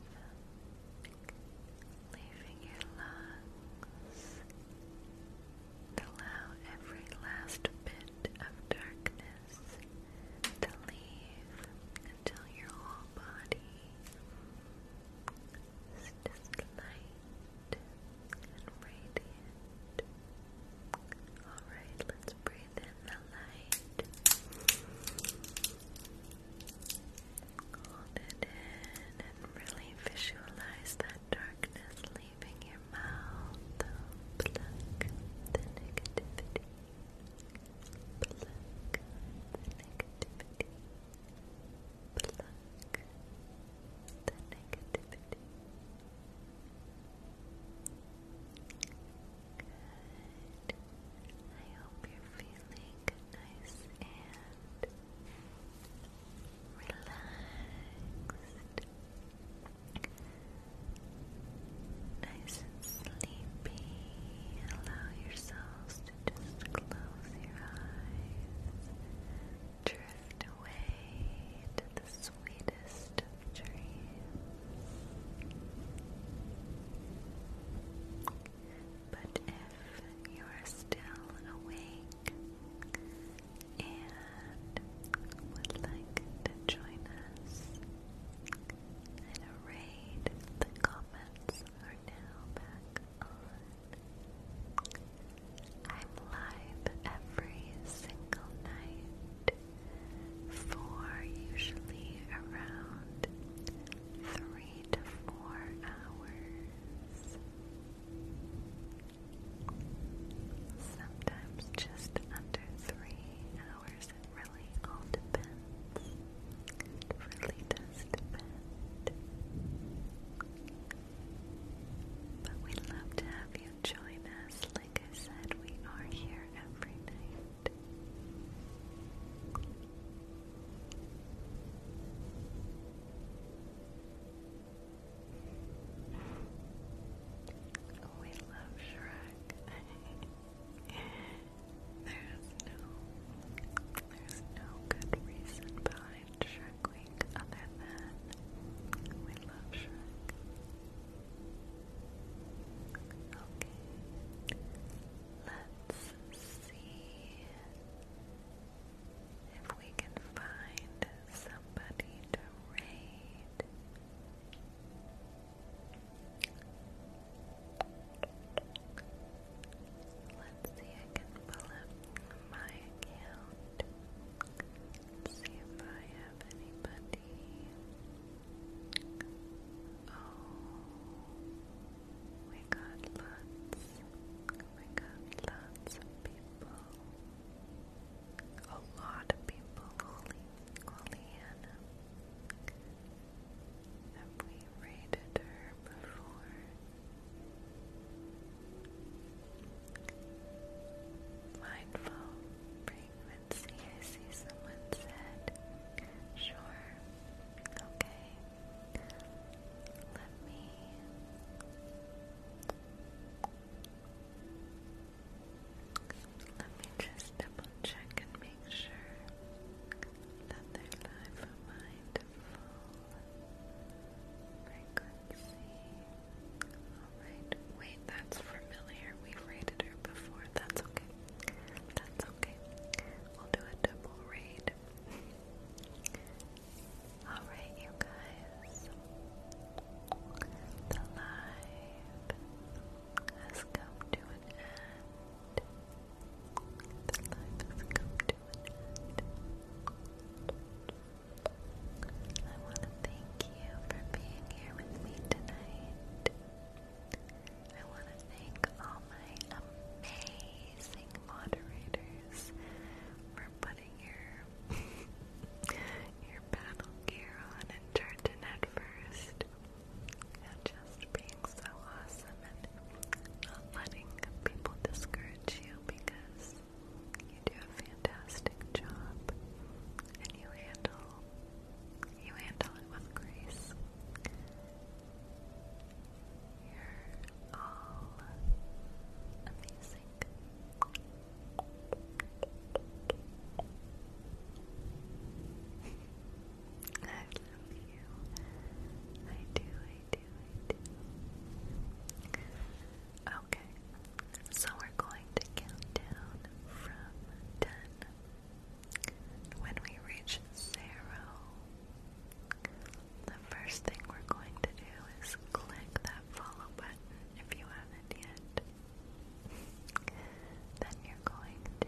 Speaker 1: leaving your lungs. allow every last bit of darkness to leave until your whole body is just light and radiant. Alright, let's breathe in the light. Hold it in and really visualize that darkness leaving your mouth. Plug the negativity Pluck the negativity. Pluck the negativity. Good. I hope you're feeling nice and relaxed nice and sleepy. Allow yourselves to just close your eyes, drift away to the sweetest of dreams. But if you are still awake and would like to join us, and arrayed, the comments are now back on. I'm live every single night for usually around three to four hours. Sometimes just under three hours course, it really all depends. It really does depend. But we love to have you join us. Like I said, we are here every night. We love Shrek. [laughs] There's no, there's no good reason behind Shrek Week other than we love Shrek. Okay, let's see if we can find somebody to raid. Let's see, I can pull up my account. see if I have anybody. Oh, we got lots. We got lots of people. A lot of people. Oleana. Have we raided her before? Mindful frequency, I see someone said. Sure. Okay. Let me. Let me just double check and make sure that they're live for mindful frequency. Alright, wait, that's familiar. We've rated her before. That's okay. That's okay. We'll do a double raid. Alright, you guys. The live has come to an end. The life has come to an end. I want to thank you for being here with me tonight. I want to thank all my amazing moderators for putting your [laughs] your battle gear on and charging at first and just being so awesome and not letting people discourage you because you do a fantastic job and you handle you handle it with grace. You're all amazing. [laughs] I love you. I do, I do, I do. Okay, so we're going to count down from 10. When we reach zero, the first thing we're going to do is click that follow button if you haven't yet. Then you're going to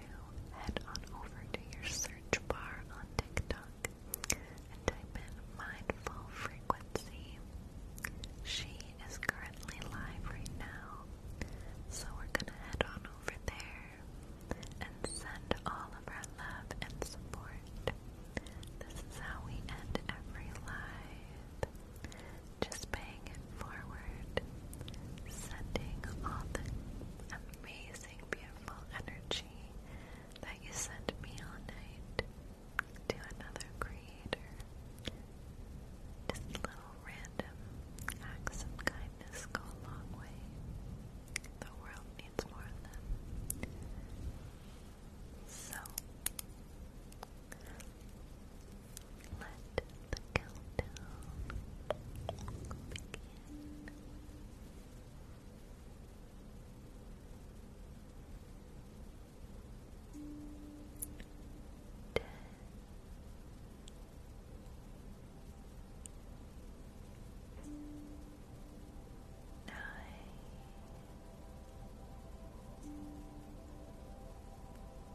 Speaker 1: head on over to your search bar on TikTok and type in mindful frequency. She is currently live right now, so we're gonna head on over there and send all of our love and support. This is how we end every live. Just paying forward, sending all the amazing, beautiful energy that you sent me all night to another creator. Just little random acts of kindness go a long way. The world needs more of them. So, let the countdown begin. Ten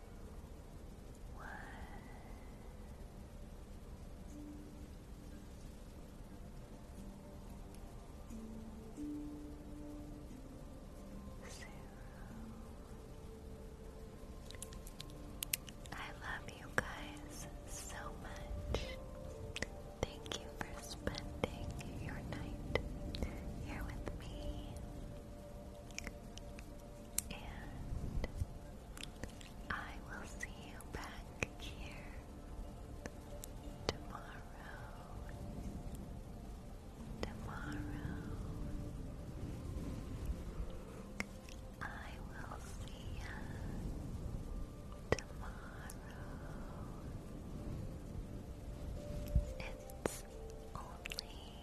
Speaker 3: was zero. I love you guys so much. Thank you for spending your night here with me and I will see you back here tomorrow. Tomorrow, I will see ya. Tomorrow, it's only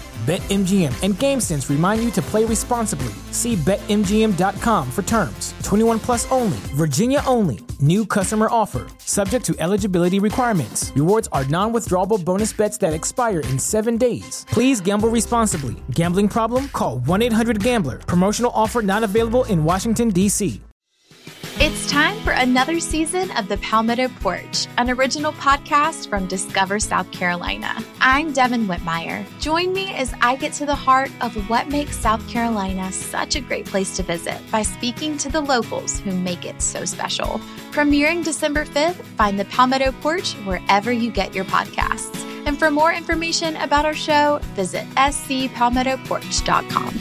Speaker 3: BetMGM and GameSense remind you to play responsibly. See BetMGM.com for terms. 21 plus only, Virginia only. New customer offer, subject to eligibility requirements. Rewards are non withdrawable bonus bets that expire in seven days. Please gamble responsibly. Gambling problem? Call 1 800 Gambler. Promotional offer not available in Washington, D.C.
Speaker 1: It's time for another season of the Palmetto Porch an original podcast from Discover South Carolina. I'm Devin Whitmire. Join me as I get to the heart of what makes South Carolina such a great place to visit by speaking to the locals who make it so special. Premiering December 5th, find the Palmetto Porch wherever you get your podcasts. And for more information about our show, visit scpalmettoporch.com.